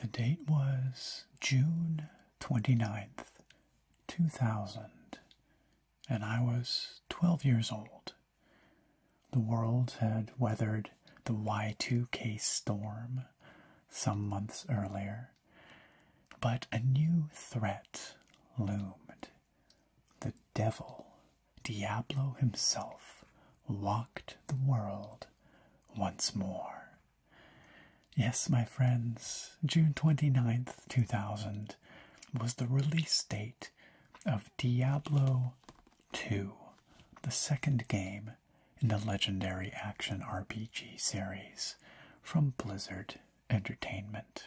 The date was June 29th, 2000, and I was 12 years old. The world had weathered the Y2K storm some months earlier, but a new threat loomed. The devil, Diablo himself, walked the world once more. Yes, my friends, June 29th, 2000 was the release date of Diablo II, the second game in the legendary action RPG series from Blizzard Entertainment.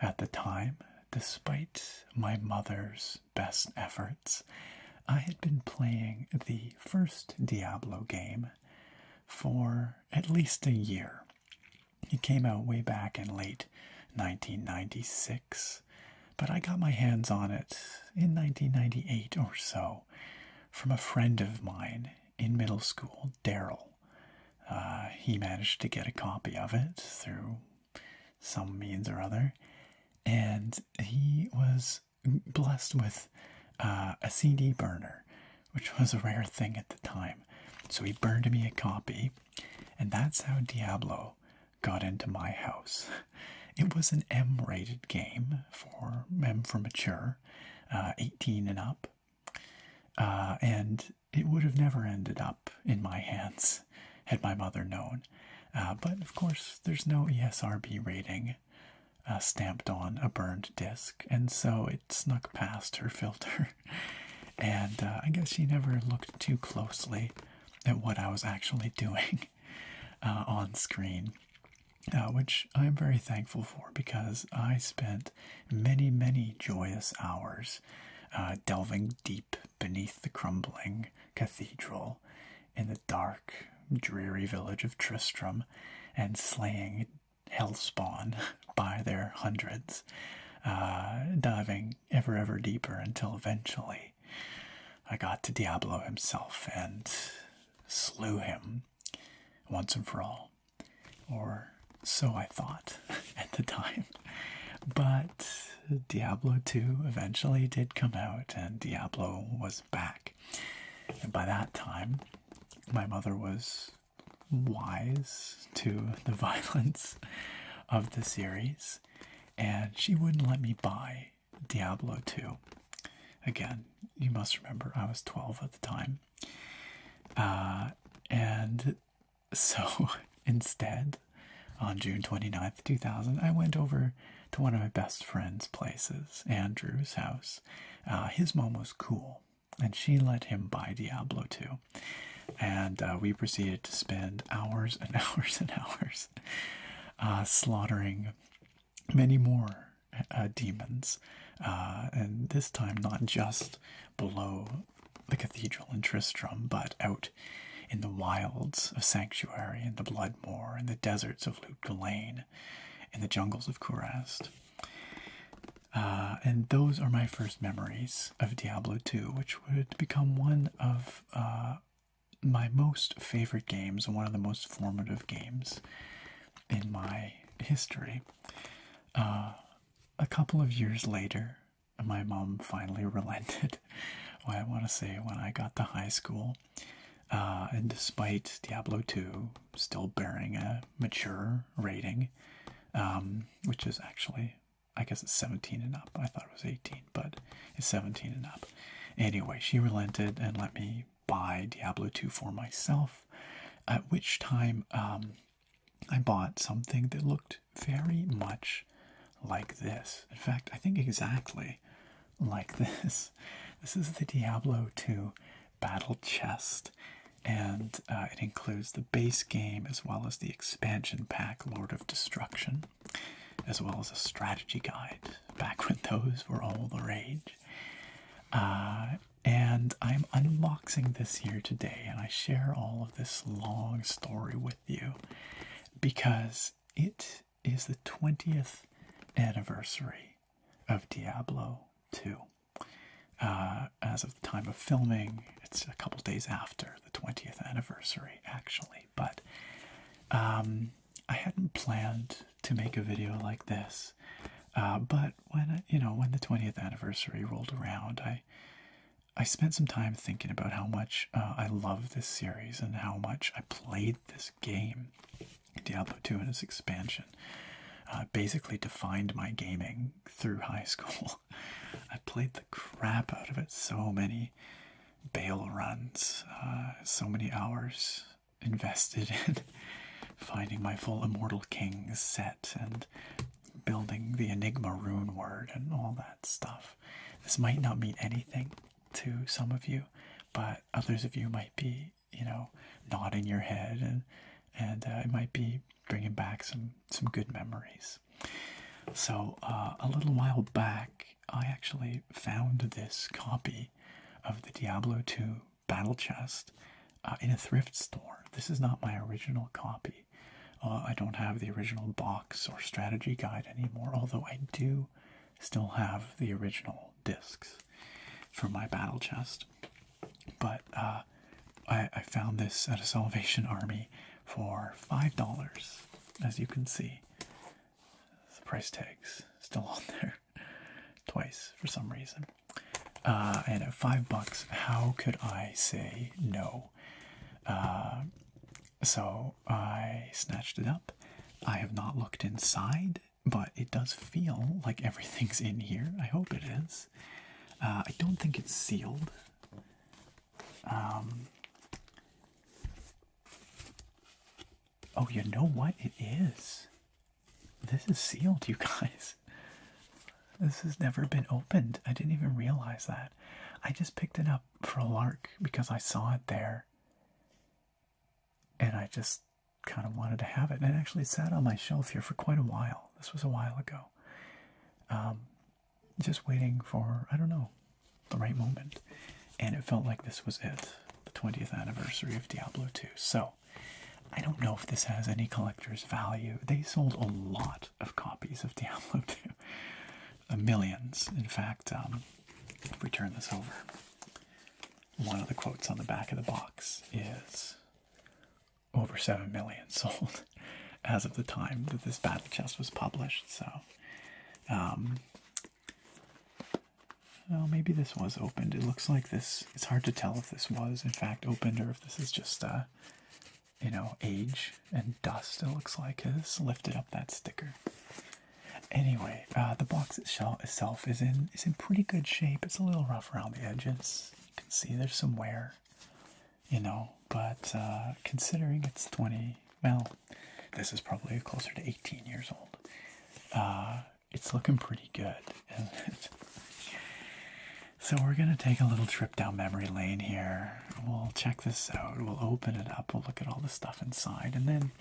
At the time, despite my mother's best efforts, I had been playing the first Diablo game for at least a year. It came out way back in late 1996, but I got my hands on it in 1998 or so from a friend of mine in middle school, Daryl. Uh, he managed to get a copy of it through some means or other, and he was blessed with uh, a CD burner, which was a rare thing at the time. So he burned me a copy, and that's how Diablo got into my house. It was an M rated game for M for mature, uh, 18 and up. Uh, and it would have never ended up in my hands had my mother known. Uh, but of course, there's no ESRB rating stamped on a burned disc, and so it snuck past her filter. and I guess she never looked too closely at what I was actually doing. Uh, on screen, uh, which I'm very thankful for because I spent many, many joyous hours uh, delving deep beneath the crumbling cathedral in the dark, dreary village of Tristram and slaying hellspawn by their hundreds, diving ever, ever deeper until eventually I got to Diablo himself and slew him once and for all. Or so I thought at the time. But Diablo 2 eventually did come out and Diablo was back. And by that time, my mother was wise to the violence of the series and she wouldn't let me buy Diablo 2. Again, you must remember I was 12 at the time. Uh, and so instead, on June 29th, 2000, I went over to one of my best friend's places, Andrew's house. Uh, his mom was cool, and she let him buy Diablo 2. And uh, we proceeded to spend hours and hours and hours slaughtering many more uh, demons, uh, and this time not just below the cathedral in Tristram, but out in the wilds of Sanctuary, in the Bloodmoor, in the deserts of Luke in the jungles of Kurast. Uh, and those are my first memories of Diablo II, which would become one of my most favorite games one of the most formative games in my history. Uh, a couple of years later, my mom finally relented. I want to say when I got to high school, uh, and despite Diablo 2 still bearing a mature rating, um, which is actually, I guess it's 17 and up, I thought it was 18 but it's 17 and up. Anyway, she relented and let me buy Diablo II for myself, at which time um, I bought something that looked very much like this. In fact, I think exactly like this. This is the Diablo II Battle Chest, and uh, it includes the base game as well as the expansion pack Lord of Destruction as well as a strategy guide back when those were all the rage. Uh, and I'm unboxing this here today, and I share all of this long story with you because it is the 20th anniversary of Diablo II. Uh, as of the time of filming, it's a couple days after the 20th anniversary, actually. But um, I hadn't planned to make a video like this, uh, but when you know when the 20th anniversary rolled around, I I spent some time thinking about how much uh, I love this series and how much I played this game. Diablo II and its expansion uh, basically defined my gaming through high school. I played the crap out of it so many Bale runs, uh, so many hours invested in finding my full Immortal King set and building the Enigma rune word and all that stuff. This might not mean anything to some of you, but others of you might be, you know, nodding your head and and uh, it might be bringing back some some good memories. So uh, a little while back, I actually found this copy of the Diablo II Battle Chest uh, in a thrift store. This is not my original copy. Uh, I don't have the original box or strategy guide anymore, although I do still have the original discs for my battle chest. But uh, I found this at a Salvation Army for $5, as you can see the price tag's still on there twice for some reason. Uh, and at five bucks, how could I say no? Uh, so I snatched it up. I have not looked inside, but it does feel like everything's in here. I hope it is. Uh, I don't think it's sealed. Um, Oh, you know what? It is. This is sealed, you guys. This has never been opened. I didn't even realize that. I just picked it up for a lark because I saw it there. And I just kind of wanted to have it. And it actually sat on my shelf here for quite a while. This was a while ago. Um, just waiting for, I don't know, the right moment. And it felt like this was it, the 20th anniversary of Diablo 2. So I don't know if this has any collector's value. They sold a lot of copies of Diablo 2. millions. In fact, um, if we turn this over, one of the quotes on the back of the box is over 7 million sold as of the time that this battle chest was published. So, um, well, maybe this was opened. It looks like this. It's hard to tell if this was, in fact, opened or if this is just, uh, you know, age and dust. It looks like has lifted up that sticker. Anyway, uh, the box itself is in is in pretty good shape. It's a little rough around the edges. You can see there's some wear, you know. But uh, considering it's 20, well, this is probably closer to 18 years old. Uh, it's looking pretty good. so we're gonna take a little trip down memory lane here. We'll check this out. We'll open it up. We'll look at all the stuff inside, and then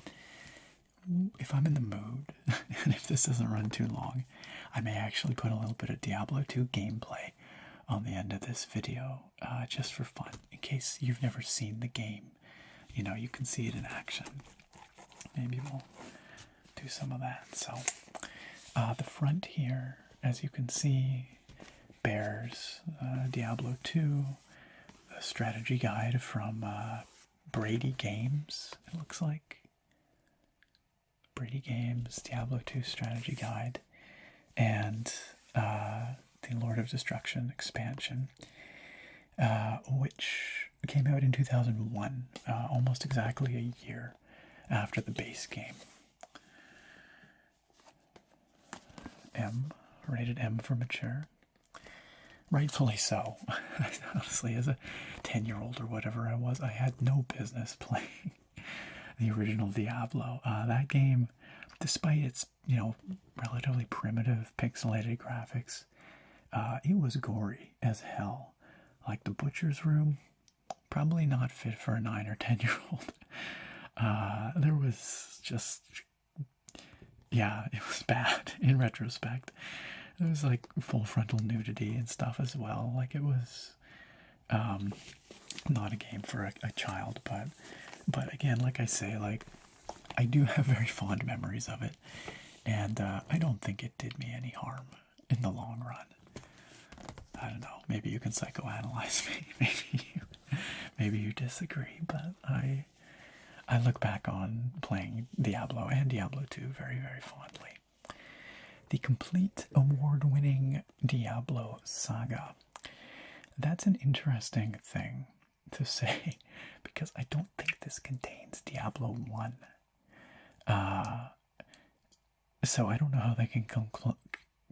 if I'm in the mood, and if this doesn't run too long, I may actually put a little bit of Diablo 2 gameplay on the end of this video, uh, just for fun. In case you've never seen the game, you know you can see it in action maybe we'll do some of that. So, uh, the front here, as you can see, bears uh, Diablo 2, the strategy guide from uh, Brady Games, it looks like. Brady Games, Diablo 2 strategy guide, and uh, the Lord of Destruction expansion uh, which came out in 2001, uh, almost exactly a year after the base game. M, rated M for mature. Rightfully so. Honestly, as a 10 year old or whatever I was, I had no business playing the original Diablo. Uh, that game, despite its you know relatively primitive pixelated graphics, uh, it was gory as hell. Like the butcher's room, probably not fit for a nine or ten year old. Uh, there was just yeah, it was bad in retrospect. There was like full frontal nudity and stuff as well. Like it was um, not a game for a, a child, but but again, like I say, like I do have very fond memories of it. And uh, I don't think it did me any harm in the long run. I don't know. Maybe you can psychoanalyze me. Maybe you, maybe you disagree. But I, I look back on playing Diablo and Diablo 2 very, very fondly. The complete award-winning Diablo saga. That's an interesting thing to say because I don't think this contains Diablo 1. Uh, so I don't know how they can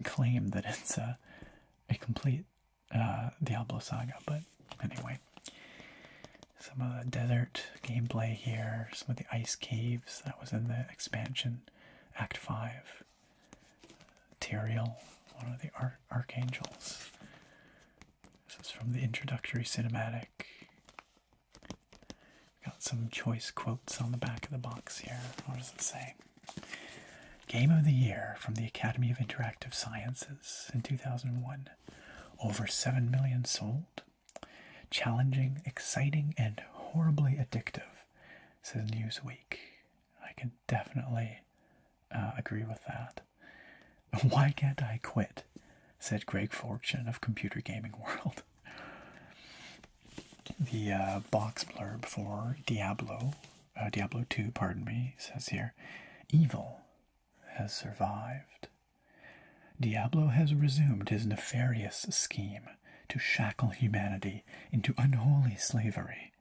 claim that it's a, a complete uh, Diablo saga, but anyway. Some of the desert gameplay here, some of the ice caves that was in the expansion, Act 5. Tyrael, one of the Archangels. This is from the introductory cinematic. Got some choice quotes on the back of the box here. What does it say? Game of the Year from the Academy of Interactive Sciences in 2001. Over 7 million sold. Challenging, exciting, and horribly addictive, says Newsweek. I can definitely uh, agree with that. Why can't I quit? said Greg Fortune of Computer Gaming World. The uh, box blurb for Diablo, uh, Diablo 2, pardon me, says here Evil has survived. Diablo has resumed his nefarious scheme to shackle humanity into unholy slavery,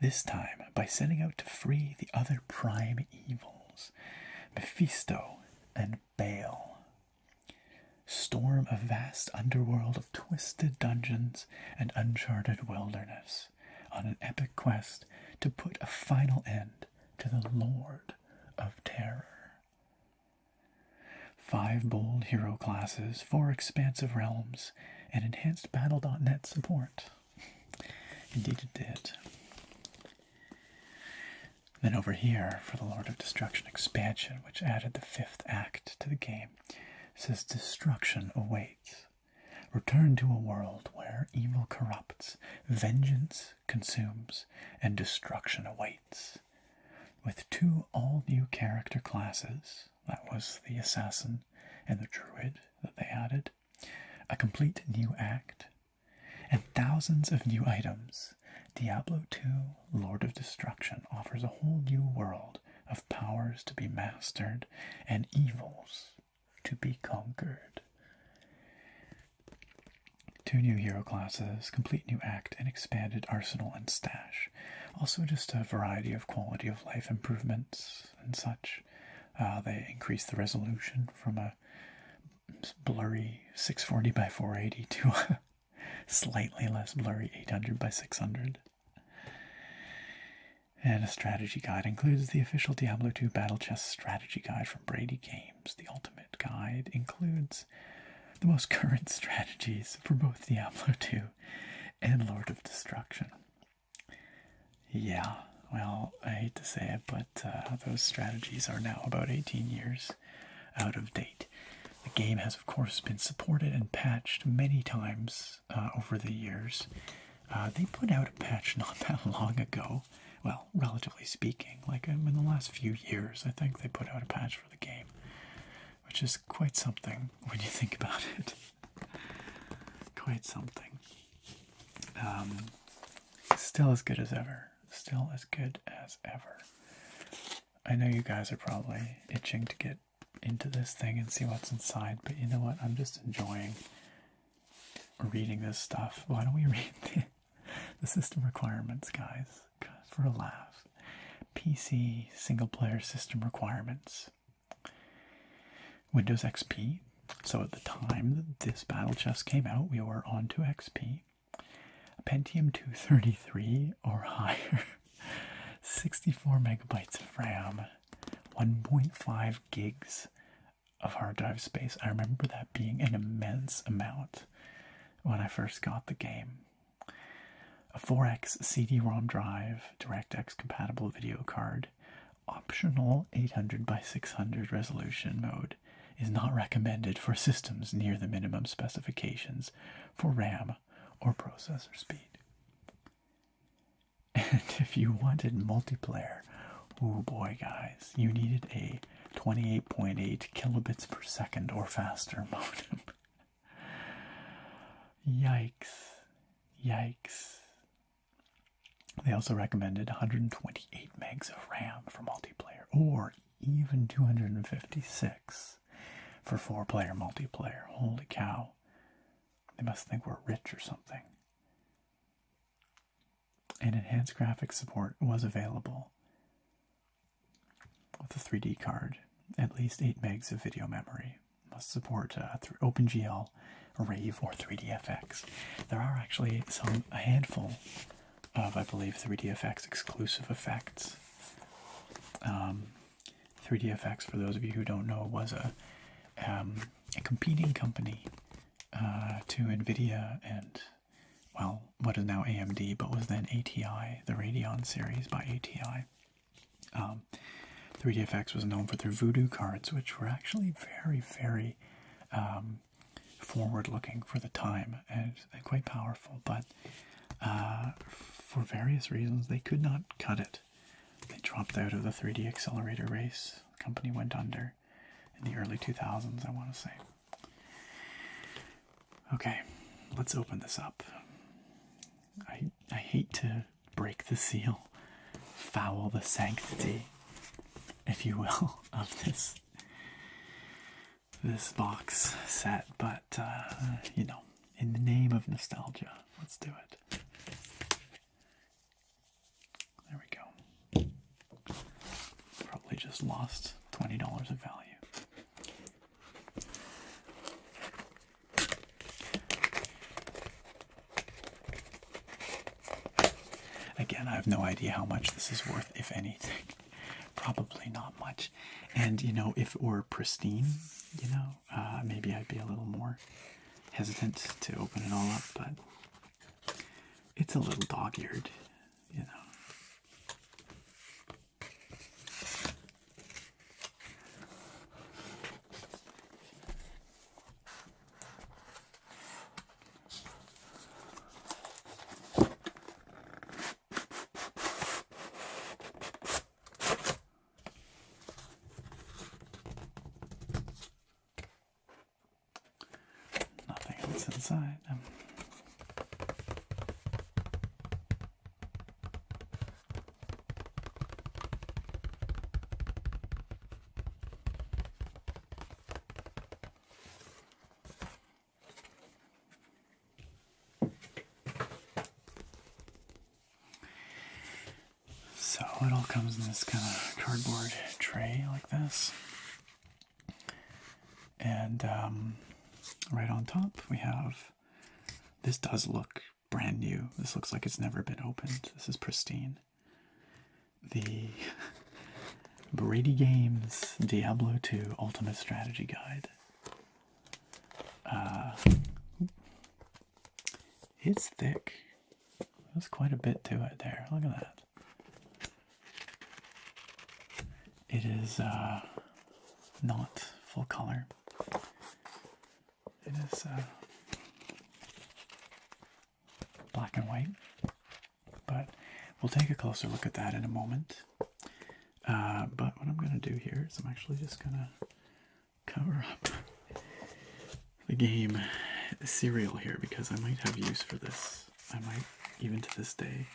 this time by setting out to free the other prime evils. Mephisto and Baal. Storm a vast underworld of twisted dungeons and uncharted wilderness on an epic quest to put a final end to the Lord of Terror. Five bold hero classes, four expansive realms, and enhanced Battle.net support. Indeed it did. Then over here, for the Lord of Destruction expansion, which added the fifth act to the game, says destruction awaits. Return to a world where evil corrupts, vengeance consumes, and destruction awaits. With two all new character classes, that was the assassin and the druid that they added, a complete new act, and thousands of new items, Diablo II Lord of Destruction offers a whole new world of powers to be mastered and evils to be conquered. Two new hero classes, complete new act, and expanded arsenal and stash. Also, just a variety of quality of life improvements and such. Uh, they increase the resolution from a blurry 640 by 480 to slightly less blurry 800 by 600. And a strategy guide includes the official Diablo II Battle Chess strategy guide from Brady Games. The ultimate guide includes the most current strategies for both Diablo II and Lord of Destruction. Yeah, well, I hate to say it, but uh, those strategies are now about 18 years out of date. The game has, of course, been supported and patched many times uh, over the years. Uh, they put out a patch not that long ago. Well, relatively speaking, like um, in the last few years, I think they put out a patch for the game, which is quite something when you think about it. quite something. Um, Still as good as ever. Still as good as ever. I know you guys are probably itching to get into this thing and see what's inside, but you know what? I'm just enjoying reading this stuff. Why don't we read the, system requirements, guys? For a laugh. PC single player system requirements. Windows XP. So at the time that this battle chest came out, we were on to XP. Pentium 233 or higher, 64 megabytes of RAM, 1.5 gigs of hard drive space. I remember that being an immense amount when I first got the game. A 4X CD ROM drive, DirectX compatible video card, Optional 800 by 600 resolution mode is not recommended for systems near the minimum specifications for RAM or processor speed. And if you wanted multiplayer, oh boy, guys, you needed a 28.8 kilobits per second or faster modem. Yikes. Yikes. They also recommended 128 megs of RAM for multiplayer, or even 256 for four player multiplayer. Holy cow. They must think we're rich or something. And enhanced graphics support was available with a 3D card, at least 8 megs of video memory. Must support uh, OpenGL Rave or 3DFX. There are actually some a handful of, I believe, 3DFX exclusive effects. 3DFX, um, for those of you who don't know, was a, um, a competing company uh, to NVIDIA and, well, what is now AMD, but was then ATI, the Radeon series by ATI. 3DFX um, was known for their voodoo cards, which were actually very, very forward-looking for the time and, uh, quite powerful, but uh, for various reasons they could not cut it. They dropped out of the 3D accelerator race. company went under in the early 2000s, I want to say. Okay, let's open this up. I I hate to break the seal, foul the sanctity if you will, of this this box set. But uh, you know, in the name of nostalgia, let's do it. There we go. Probably just lost twenty dollars of value. Again, I have no idea how much this is worth, if anything. Probably not much. And you know, if it were pristine, you know, uh, maybe I'd be a little more hesitant to open it all up, but it's a little dog eared, you know. Nothing else inside. Um, so it all comes in this kind of cardboard tray like this. And um, right on top, we have this does look brand new. This looks like it's never been opened. This is pristine the Brady Games Diablo II Ultimate Strategy Guide. Uh, it's thick. There's quite a bit to it there. Look at that. It is uh, not full color. It is uh, black and white. But we'll take a closer look at that in a moment. Uh, but what I'm going to do here is I'm actually just going to cover up the game serial here because I might have use for this. I might, even to this day.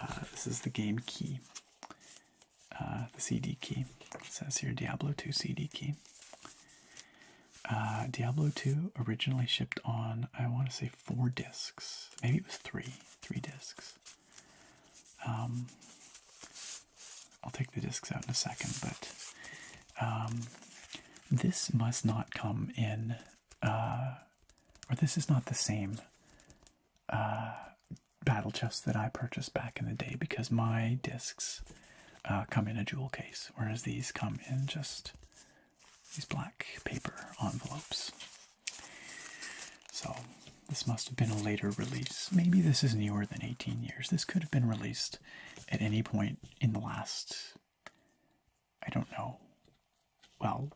Uh, this is the game key, uh, the CD key. It says here Diablo 2 CD key. Uh, Diablo II originally shipped on, I want to say, four discs. Maybe it was three. Three discs. Um, I'll take the discs out in a second, but um, this must not come in, uh, or this is not the same uh, battle chest that I purchased back in the day because my discs come in a jewel case, whereas these come in just these black paper envelopes. So this must have been a later release. Maybe this is newer than 18 years. This could have been released at any point in the last, I don't know. Well,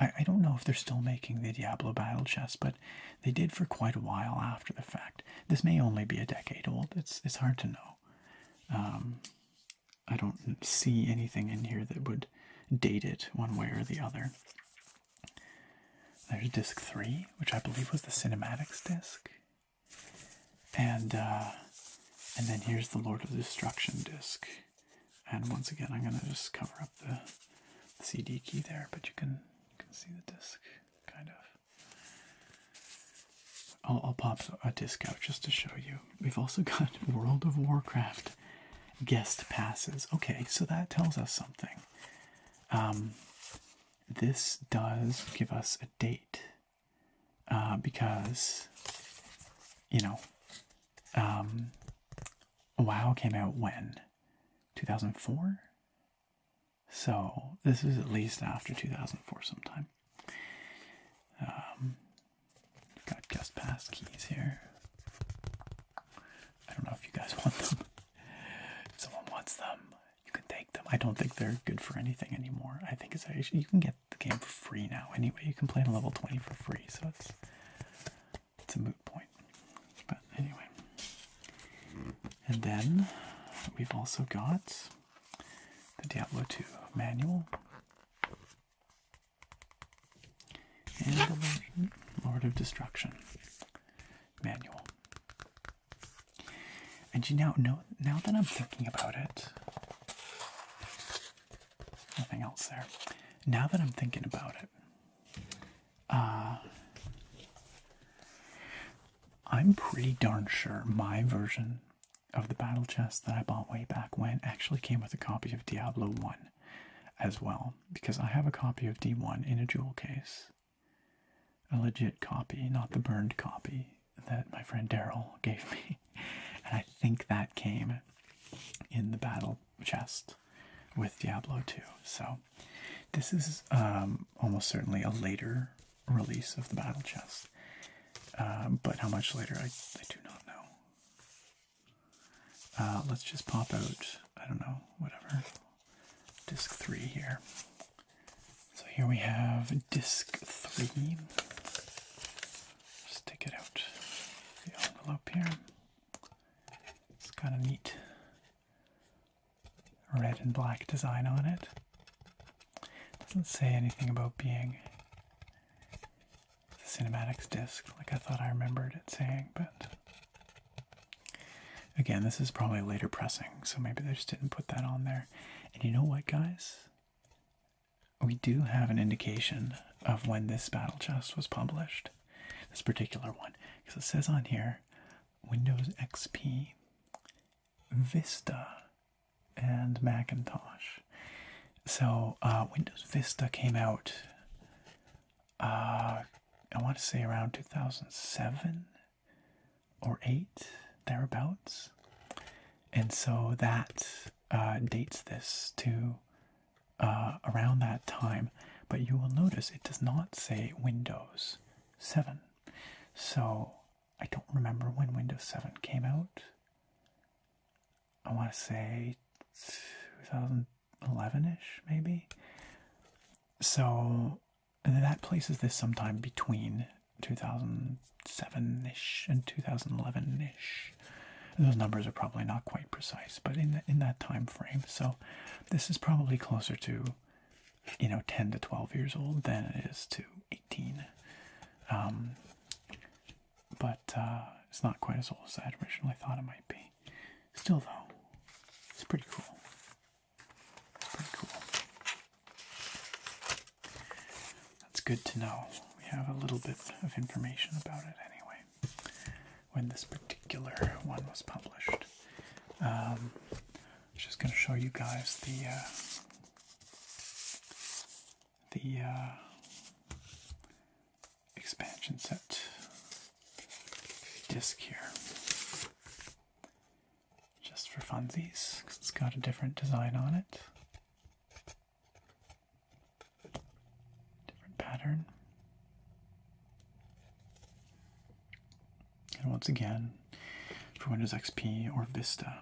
I, don't know if they're still making the Diablo Battle Chest, but they did for quite a while after the fact. This may only be a decade old. It's it's hard to know. Um, I don't see anything in here that would date it one way or the other. There's disc three, which I believe was the cinematics disc, and uh, and then here's the Lord of Destruction disc. And once again, I'm gonna just cover up the, the CD key there, but you can you can see the disc kind of. I'll, pop a disc out just to show you. We've also got World of Warcraft guest passes. Okay, so that tells us something. Um, this does give us a date uh, because, you know, um, WoW came out when? 2004? So this is at least after 2004 sometime we've um, got guest pass keys here. I don't know if you guys want them. someone wants them, you can take them. I don't think they're good for anything anymore. I think it's you can get the game for free now. Anyway, you can play on level 20 for free, so it's it's a moot point. But anyway. And then we've also got the Diablo 2 manual and illusion, Lord of Destruction, manual. And you now know now that I'm thinking about it. Nothing else there. Now that I'm thinking about it, uh, I'm pretty darn sure my version of the battle chest that I bought way back when actually came with a copy of Diablo 1 as well, because I have a copy of D1 in a jewel case. A legit copy, not the burned copy that my friend Daryl gave me. And I think that came in the battle chest with Diablo 2. So this is um, almost certainly a later release of the battle chest. Um, but how much later, I, I do not know. Uh, let's just pop out, I don't know, whatever, disk 3 here. So here we have disk 3. Just it out the envelope here. It's got a neat red and black design on it. Doesn't say anything about being the cinematics disc, like I thought I remembered it saying, but again, this is probably a later pressing, so maybe they just didn't put that on there. And you know what, guys? We do have an indication of when this battle chest was published, this particular one, because it says on here Windows XP Vista and Macintosh. So uh, Windows Vista came out, uh, I want to say around 2007 or 8, thereabouts. And so that uh, dates this to around that time. But you will notice it does not say Windows 7. So I don't remember when Windows 7 came out. I want to say 2011 ish, maybe. So that places this sometime between 2007 ish and 2011 ish. Those numbers are probably not quite precise, but in in that time frame. So this is probably closer to you know 10 to 12 years old than it is to 18. Um, but uh, it's not quite as old as I originally thought it might be. Still, though, it's pretty cool. It's pretty cool. That's good to know. We have a little bit of information about it anyway. When this particular one was published, I'm um, just going to show you guys the. Uh, the uh, expansion set disc here just for funsies because it's got a different design on it different pattern and once again for windows xp or vista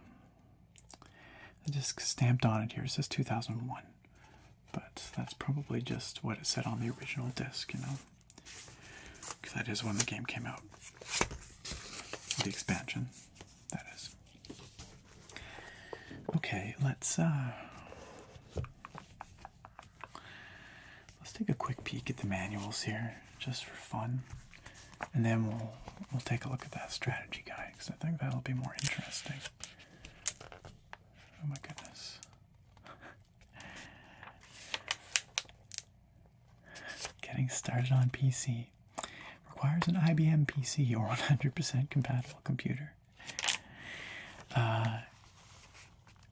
I just stamped on it here. It says 2001, but that's probably just what it said on the original disc, you know, because that is when the game came out. The expansion, that is. Okay, let's uh, let's take a quick peek at the manuals here, just for fun, and then we'll we'll take a look at that strategy guide. I think that'll be more interesting. Oh my goodness. Getting started on PC requires an IBM PC or 100% compatible computer. Uh,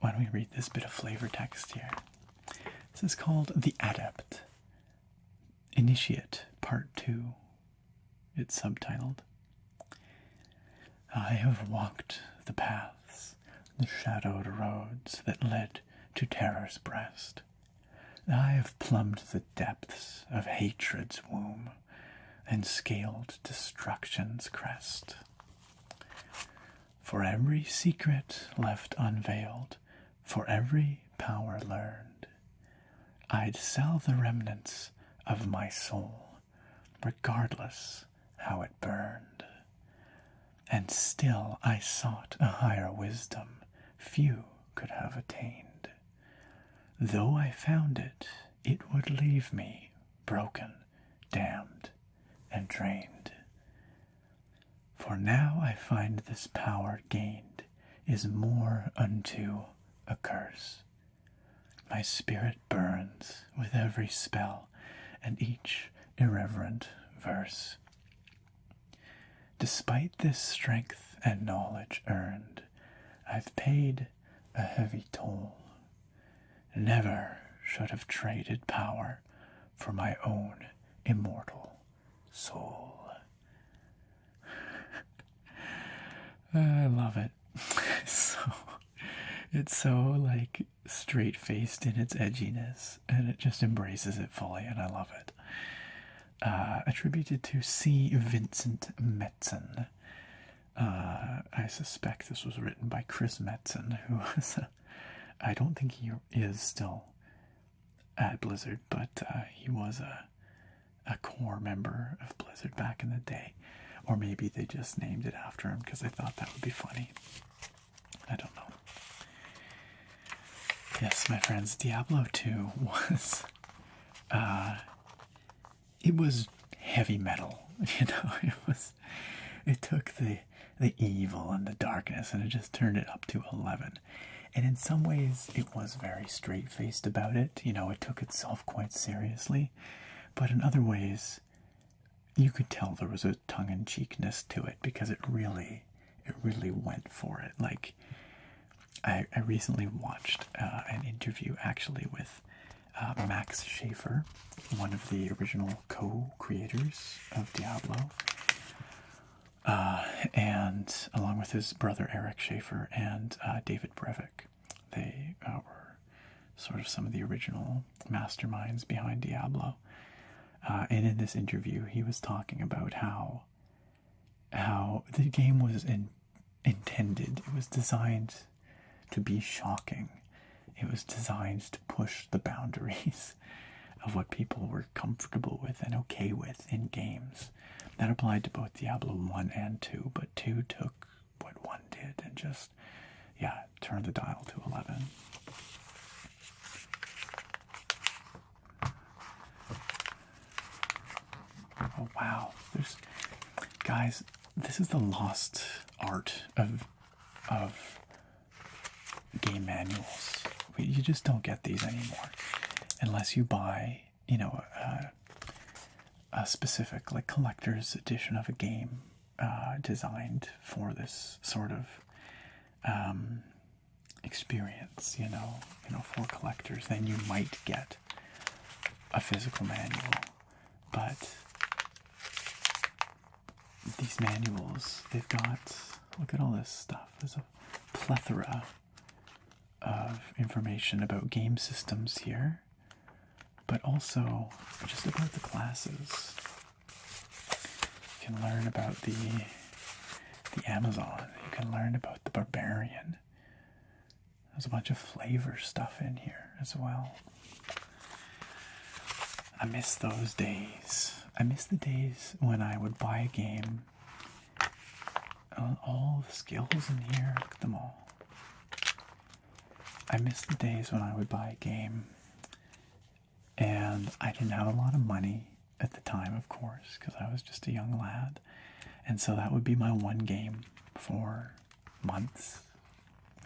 why don't we read this bit of flavor text here? This is called The Adept Initiate Part 2 it's subtitled I have walked the paths, the shadowed roads that led to terror's breast. I have plumbed the depths of hatred's womb and scaled destruction's crest. For every secret left unveiled, for every power learned, I'd sell the remnants of my soul, regardless how it burned. And still I sought a higher wisdom few could have attained. Though I found it, it would leave me broken, damned, and drained. For now I find this power gained is more unto a curse. My spirit burns with every spell and each irreverent verse. Despite this strength and knowledge earned, I've paid a heavy toll. Never should have traded power for my own immortal soul. I love it. so it's so like straight faced in its edginess and it just embraces it fully and I love it. Uh, attributed to C. Vincent Metzen. Uh, I suspect this was written by Chris Metzen, who I don't think he is still at Blizzard, but uh, he was a a core member of Blizzard back in the day. Or maybe they just named it after him because they thought that would be funny. I don't know. Yes, my friends, Diablo 2 was uh, it was heavy metal, you know, it was it took the the evil and the darkness and it just turned it up to eleven. And in some ways it was very straightforward faced about it. You know, it took itself quite seriously. But in other ways, you could tell there was a tongue in cheekness to it because it really, it really went for it. Like, I, recently watched uh, an interview actually with uh, Max Schaefer, one of the original co creators of Diablo. Uh, and along with his brother Eric Schaefer and David Brevet, they uh, were sort of some of the original masterminds behind Diablo. Uh, and in this interview, he was talking about how how the game was intended. It was designed to be shocking. It was designed to push the boundaries of what people were comfortable with and okay with in games. That applied to both Diablo 1 and 2, but 2 took what 1 did and just, yeah, turned the dial to 11. Oh wow, there's guys, this is the lost art of of game manuals. You just don't get these anymore unless you buy you know, uh, a specific like collector's edition of a game uh, designed for this sort of um, experience, you know, you know, for collectors, then you might get a physical manual. But these manuals, they've got look at all this stuff. There's a plethora of information about game systems here, but also just about the classes. You can learn about the the Amazon. You can learn about the barbarian. There's a bunch of flavor stuff in here as well. I miss those days. I miss the days when I would buy a game all the skills in here. Look at them all. I miss the days when I would buy a game and I didn't have a lot of money at the time, of course, because I was just a young lad. And so that would be my one game for months.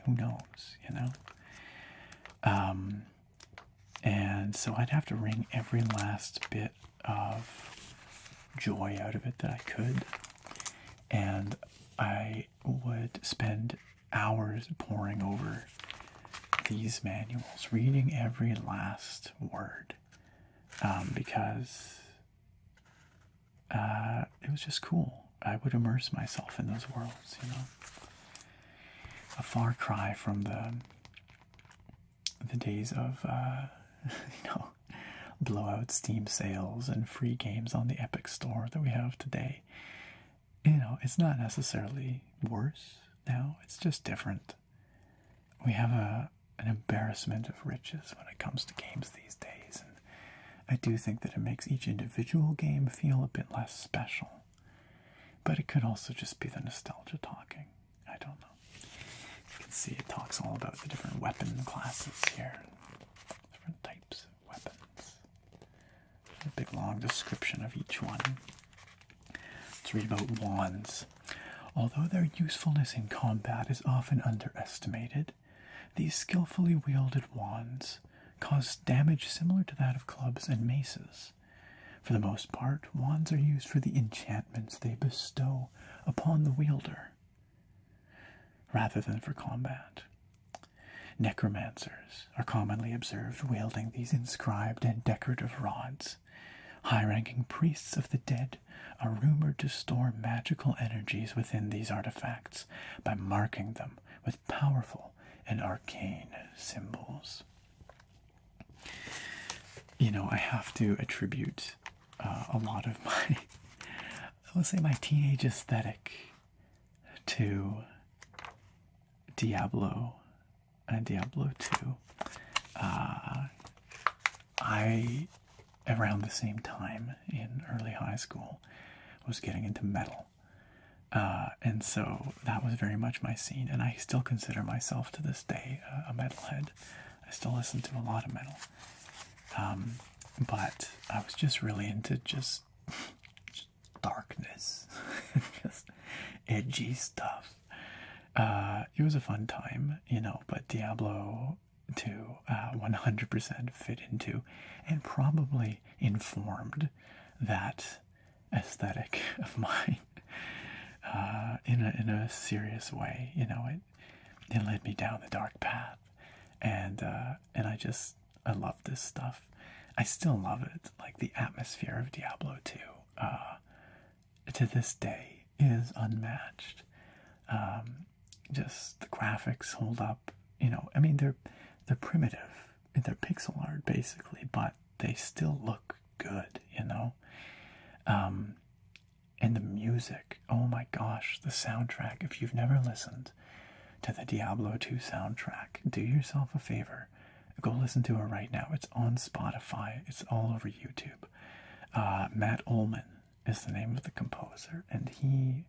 Who knows, you know? Um, and so I'd have to ring every last bit of joy out of it that I could. And I would spend hours poring over these manuals, reading every last word, um, because uh, it was just cool. I would immerse myself in those worlds, you know. A far cry from the the days of uh, you know blowout Steam sales and free games on the Epic Store that we have today. You know, it's not necessarily worse now, it's just different. We have a an embarrassment of riches when it comes to games these days, and I do think that it makes each individual game feel a bit less special. But it could also just be the nostalgia talking. I don't know. You can see it talks all about the different weapon classes here, different types of weapons. A big long description of each one. Let's read about wands. Although their usefulness in combat is often underestimated, these skillfully wielded wands cause damage similar to that of clubs and maces. For the most part, wands are used for the enchantments they bestow upon the wielder rather than for combat. Necromancers are commonly observed wielding these inscribed and decorative rods. High ranking priests of the dead are rumored to store magical energies within these artifacts by marking them with powerful and arcane symbols. You know, I have to attribute uh, a lot of my, I us say, my teenage aesthetic to Diablo and Diablo 2. Uh, I, around the same time in early high school, was getting into metal. Uh, and so that was very much my scene, and I still consider myself to this day a metalhead. I still listen to a lot of metal. Um, but I was just really into just, darkness, just edgy stuff. Uh, it was a fun time, you know, but Diablo 2 100% uh, fit into and probably informed that aesthetic of mine uh, in, a, in a serious way. You know, it. It led me down the dark path, and uh, and I just I love this stuff. I still love it. Like the atmosphere of Diablo 2, uh, to this day is unmatched. Um, just the graphics hold up. You know, I mean they're they're primitive, they're pixel art basically, but they still look good. You know, um, and the music. Oh my gosh, the soundtrack. If you've never listened to the Diablo II soundtrack, do yourself a favor. Go listen to it right now. It's on Spotify, it's all over YouTube. Uh, Matt Ullman is the name of the composer, and he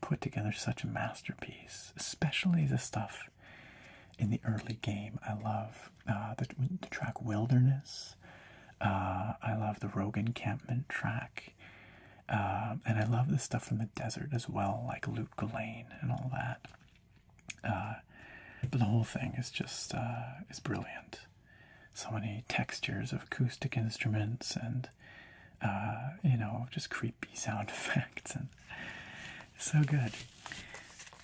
put together such a masterpiece, especially the stuff in the early game. I love uh, the track Wilderness. Uh, I love the Rogue Encampment track. Uh, and I love the stuff from the desert as well, like Loot Galane and all that. but uh, the whole thing is just is brilliant. So many textures of acoustic instruments and you know just creepy sound effects and so good.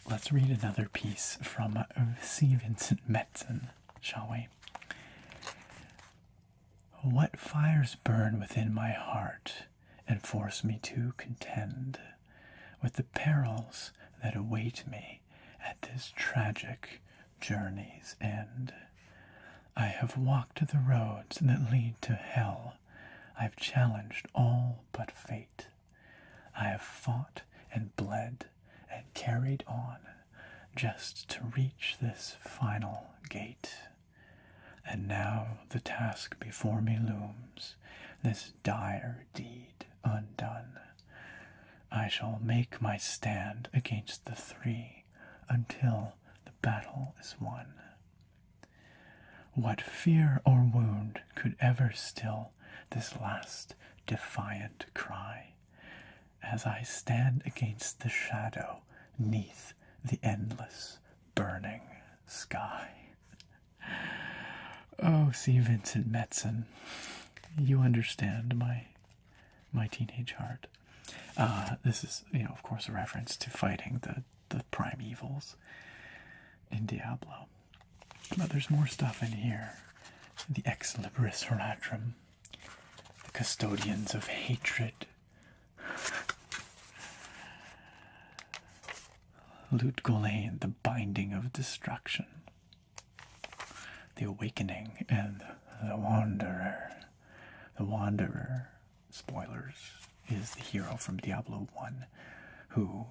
Let's read another piece from C. Vincent Metzen, shall we? What fires burn within my heart and force me to contend with the perils that await me at this tragic journey's end? I have walked the roads that lead to hell. I've challenged all but fate. I have fought and bled and carried on just to reach this final gate. And now the task before me looms, this dire deed undone. I shall make my stand against the three until the battle is won. What fear or wound could ever still this last defiant cry? as I stand against the shadow neath the endless burning sky. Oh, see, Vincent Metzen, you understand my my teenage heart. Uh, this is, you know, of course, a reference to fighting the the primevals in Diablo. But there's more stuff in here. The ex libris horatrum, the custodians of hatred. Lutgulain, the binding of destruction. The awakening and the wanderer. The wanderer, spoilers, is the hero from Diablo 1 who,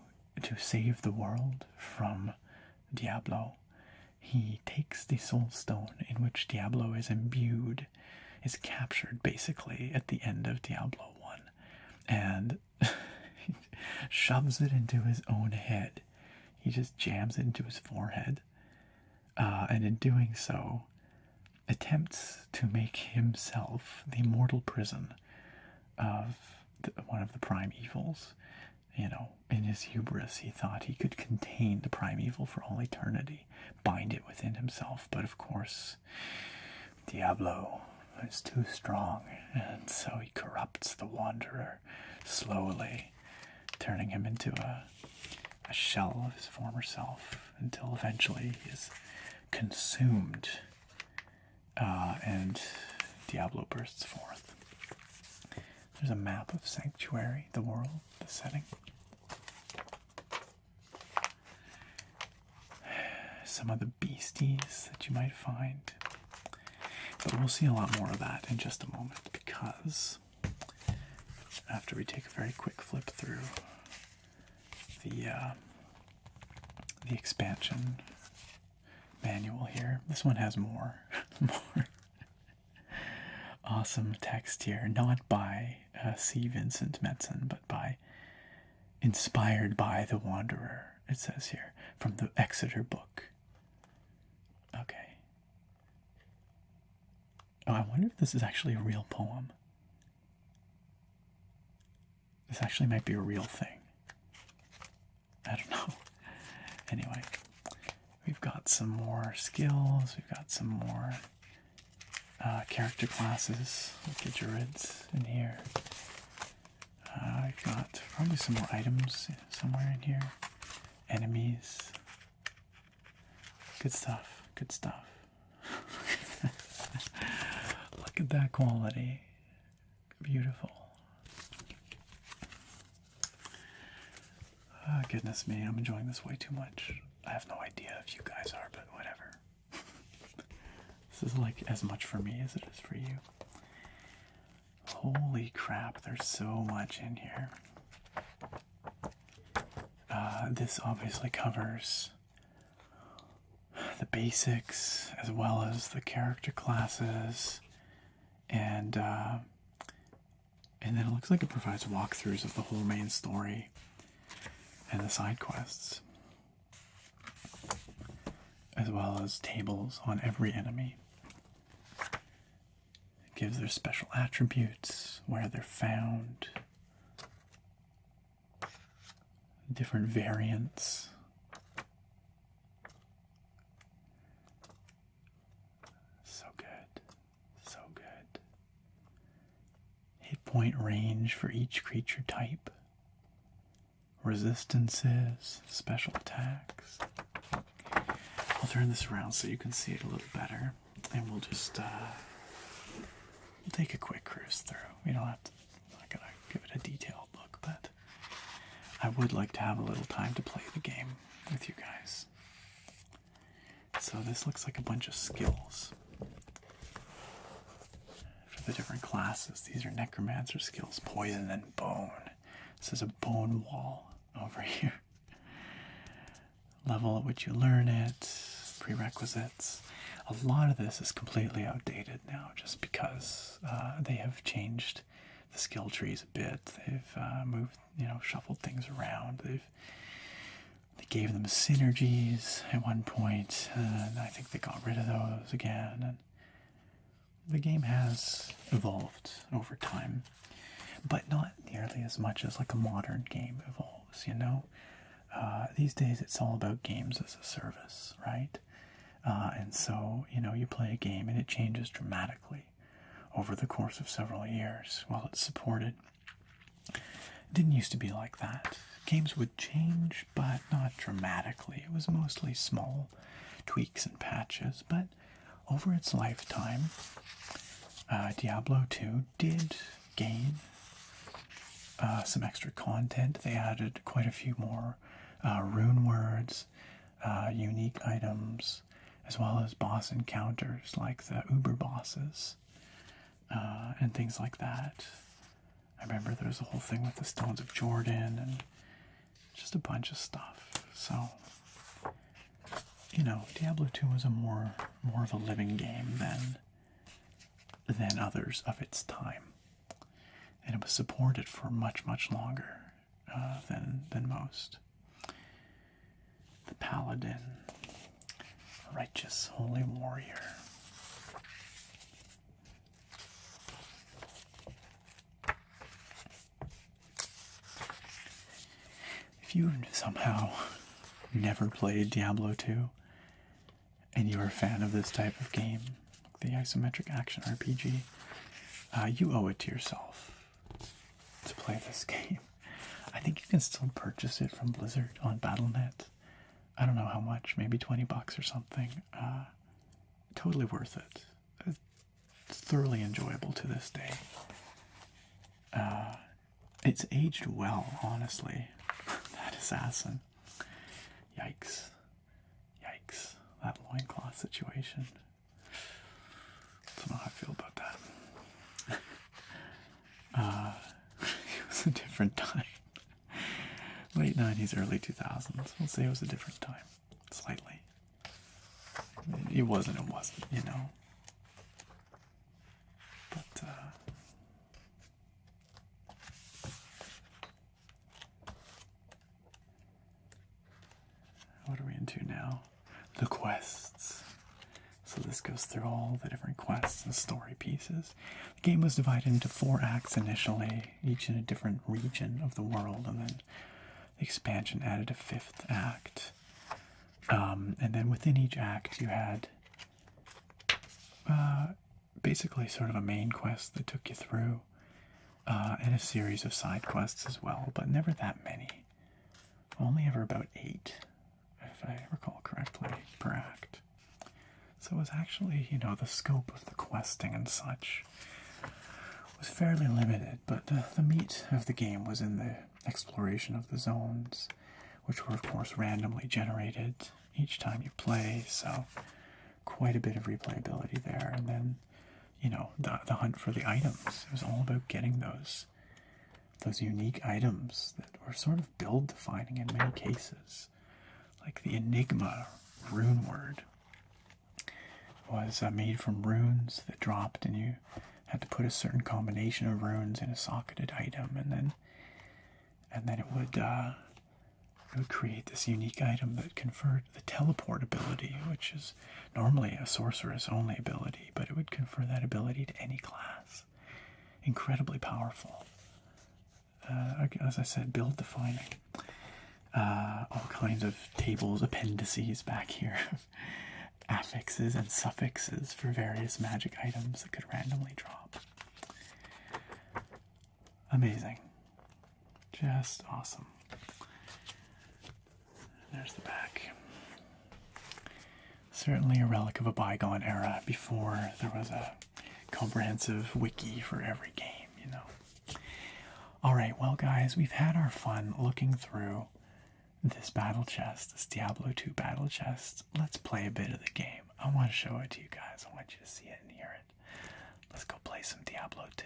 to save the world from Diablo. He takes the soul stone in which Diablo is imbued, is captured basically at the end of Diablo 1, and shoves it into his own head. He just jams it into his forehead, uh, and in doing so, attempts to make himself the mortal prison of one of the prime evils you know, in his hubris, he thought he could contain the primeval for all eternity, bind it within himself. But of course, Diablo is too strong, and so he corrupts the wanderer slowly, turning him into a, shell of his former self until eventually he is consumed uh, and Diablo bursts forth. There's a map of Sanctuary, the world, the setting. Some of the beasties that you might find. But we'll see a lot more of that in just a moment because after we take a very quick flip through the uh, the expansion manual here, this one has more more awesome text here, not by uh, C. Vincent Metzen, but by inspired by the Wanderer, it says here, from the Exeter book. Okay. Oh, I wonder if this is actually a real poem. This actually might be a real thing. I don't know. Anyway, We've got some more skills, we've got some more uh, character classes, like druids in here. I've uh, got probably some more items somewhere in here. Enemies. Good stuff, good stuff. Look at that quality. Beautiful. Oh, goodness me, I'm enjoying this way too much. I have no idea if you guys are, but whatever. this is like as much for me as it is for you. Holy crap, there's so much in here. Uh, this obviously covers the basics as well as the character classes and uh, and then it looks like it provides walkthroughs of the whole main story and the side quests, as well as tables on every enemy. It gives their special attributes, where they're found, different variants. So good. So good. Hit point range for each creature type. Resistances, special attacks. I'll turn this around so you can see it a little better, and we'll just uh, we'll take a quick cruise through. We don't have to. not gonna give it a detailed look, but I would like to have a little time to play the game with you guys. So this looks like a bunch of skills for the different classes. These are necromancer skills, poison and bone. This is a bone wall over here. Level at which you learn it, prerequisites. A lot of this is completely outdated now just because uh, they have changed the skill trees a bit. They've uh, moved, you know, shuffled things around. They've they gave them synergies at one point, and I think they got rid of those again. And the game has evolved over time, but not nearly as much as like a modern game evolves. You know, uh, these days it's all about games as a service, right? Uh, and so you know, you play a game and it changes dramatically over the course of several years while it's supported. It didn't used to be like that. Games would change, but not dramatically. It was mostly small tweaks and patches, but over its lifetime, uh, Diablo 2 did gain uh, some extra content. They added quite a few more uh, rune words, unique items, as well as boss encounters like the Uber bosses uh, and things like that. I remember there was a whole thing with the Stones of Jordan and just a bunch of stuff. So, you know, Diablo 2 was a more more of a living game than than others of its time, and it was supported for much much longer uh, than than most the paladin, righteous holy warrior. If you somehow never played Diablo 2 and you're a fan of this type of game, the isometric action RPG, uh, you owe it to yourself to play this game. I think you can still purchase it from Blizzard on Battle.net. I don't know how much, maybe 20 bucks or something. Uh, totally worth it. thoroughly enjoyable to this day. Uh, it's aged well, honestly. that assassin. Yikes. Yikes. That loincloth situation. I don't know how I feel about that. Uh, it was a different time. Late 90s, early 2000s. Let's say it was a different time. Slightly. It wasn't, it wasn't, you know. But, uh, What are we into now? the quests. So this goes through all the different quests and story pieces. The game was divided into four acts initially, each in a different region of the world, and then the expansion added a fifth act. Um, and then within each act, you had uh, basically sort of a main quest that took you through, uh, and a series of side quests as well, but never that many only ever about eight, if I recall correctly, per act. So it was actually, you know, the scope of the questing and such was fairly limited, but the, the meat of the game was in the exploration of the zones, which were, of course, randomly generated each time you play, so quite a bit of replayability there. And then, you know, the, the hunt for the items. It was all about getting those those unique items that were sort of build defining in many cases. Like the Enigma rune word was uh, made from runes that dropped, and you had to put a certain combination of runes in a socketed item, and then and then it would uh, it would create this unique item that conferred the teleport ability, which is Normally, a sorcerer's only ability, but it would confer that ability to any class. Incredibly powerful. Uh, as I said, build defining. Uh, all kinds of tables, appendices back here, affixes and suffixes for various magic items that could randomly drop. Amazing. Just awesome. There's the back. Certainly a relic of a bygone era before there was a comprehensive wiki for every game, you know. Alright, well, guys, we've had our fun looking through this battle chest, this Diablo II battle chest. Let's play a bit of the game. I want to show it to you guys, I want you to see it and hear it. Let's go play some Diablo II.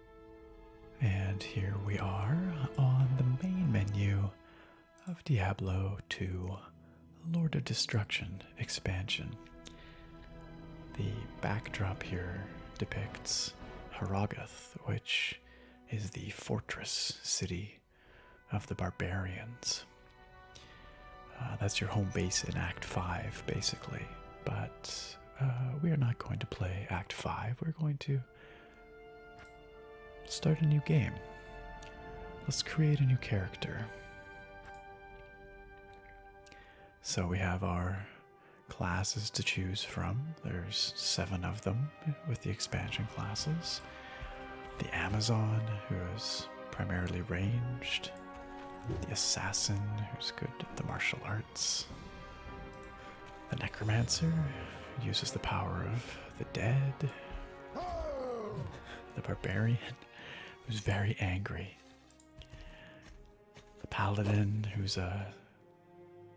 And here we are on the main menu of Diablo II: Lord of Destruction expansion. The backdrop here depicts Haragath, which is the fortress city of the barbarians. Uh, that's your home base in Act 5, basically. But uh, we are not going to play Act 5. We're going to Start a new game. Let's create a new character. So we have our classes to choose from. There's seven of them with the expansion classes. The Amazon, who is primarily ranged. The Assassin, who's good at the martial arts. The Necromancer uses the power of the dead. The Barbarian, who's very angry. The Paladin, who's a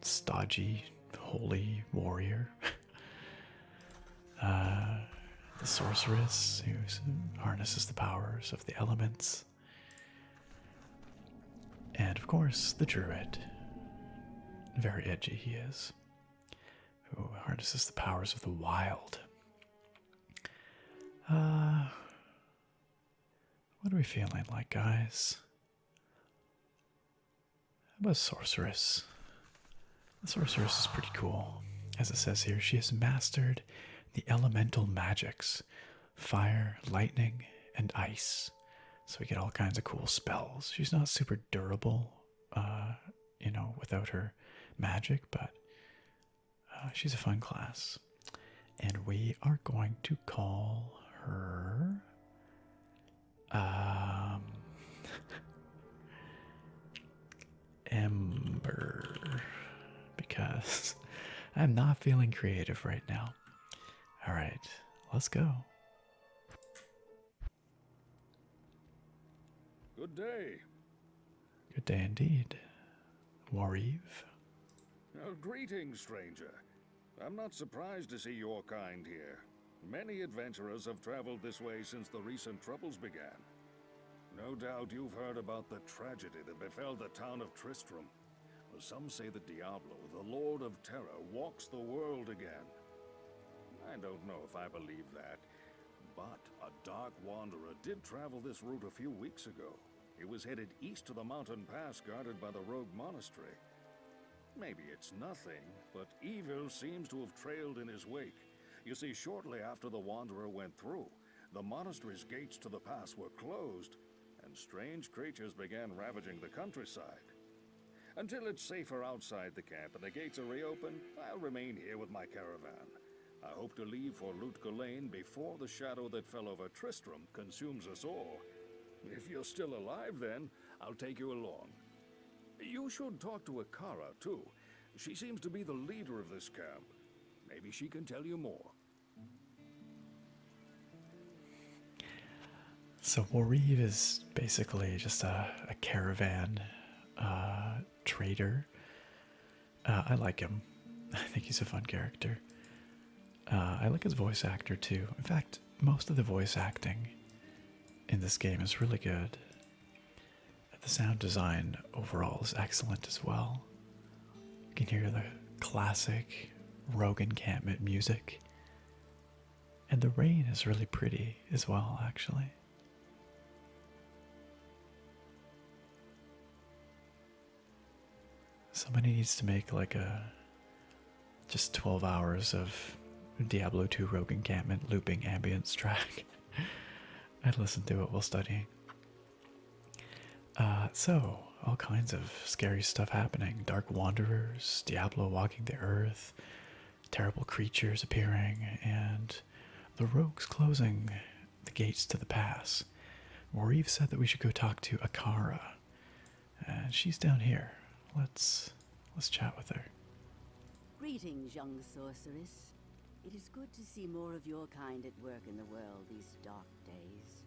stodgy, holy warrior. Uh, the Sorceress, who harnesses the powers of the elements. And of course, the druid. Very edgy he is, who harnesses the powers of the wild. Uh, what are we feeling like, guys? How about sorceress? The sorceress is pretty cool. As it says here, she has mastered the elemental magics fire, lightning, and ice. So we get all kinds of cool spells. She's not super durable, uh, you know, without her magic, but uh, she's a fun class. And we are going to call her. Ember, um, because I'm not feeling creative right now. All right, let's go. Good day. Good day indeed. Warive. Oh, greetings, stranger. I'm not surprised to see your kind here. Many adventurers have traveled this way since the recent troubles began. No doubt you've heard about the tragedy that befell the town of Tristram some say that Diablo, the Lord of Terror, walks the world again. I don't know if I believe that, but a dark wanderer did travel this route a few weeks ago. He was headed east to the mountain pass guarded by the rogue monastery. Maybe it's nothing, but evil seems to have trailed in his wake. You see, shortly after the wanderer went through, the monastery's gates to the pass were closed, and strange creatures began ravaging the countryside. Until it's safer outside the camp and the gates are reopened, I'll remain here with my caravan. I hope to leave for Lutka before the shadow that fell over Tristram consumes us all. If you're still alive then, I'll take you along. You should talk to Akara, too. She seems to be the leader of this camp. Maybe she can tell you more. So Warib is basically just a, caravan uh, trader. Uh, I like him. I think he's a fun character. Uh, I like his voice actor too. In fact, most of the voice acting in this game is really good. The sound design overall is excellent as well. You can hear the classic Rogue encampment music and the rain is really pretty as well, actually. Somebody needs to make like a just 12 hours of Diablo 2 Rogue Encampment looping ambience track. I'd listen to it while studying. Uh, so, all kinds of scary stuff happening. Dark Wanderers, Diablo the earth, terrible creatures appearing, and the rogues closing the gates to the pass. Reeve said that we should go talk to Akara. And she's down here. Let's let's chat with her. Greetings, young sorceress. It is good to see more of your kind at work in the world these dark days.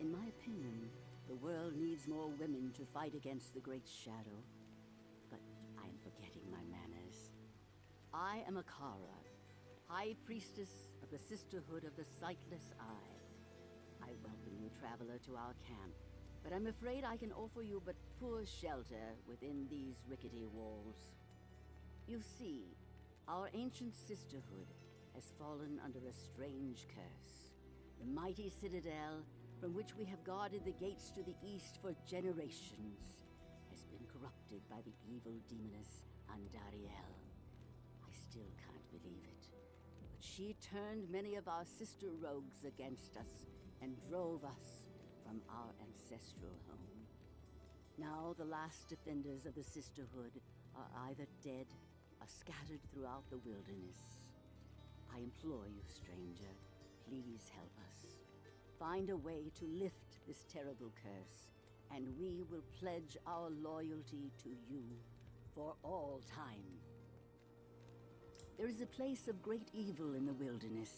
In my opinion, the world needs more women to fight against the Great Shadow. But I am forgetting my manners. I am Akara, High Priestess of the Sisterhood of the Sightless Eye. I welcome you, traveler, to our camp, but I'm afraid I can offer you but poor shelter within these rickety walls. You see, our ancient sisterhood has fallen under a strange curse the mighty citadel from which we have guarded the gates to the east for generations, has been corrupted by the evil demoness Andariel. I still can't believe it. But she turned many of our sister rogues against us and drove us from our ancestral home. Now the last defenders of the Sisterhood are either dead are scattered throughout the wilderness. I implore you, stranger, please help us. Find a way to lift this terrible curse, and we will pledge our loyalty to you for all time. There is a place of great evil in the wilderness.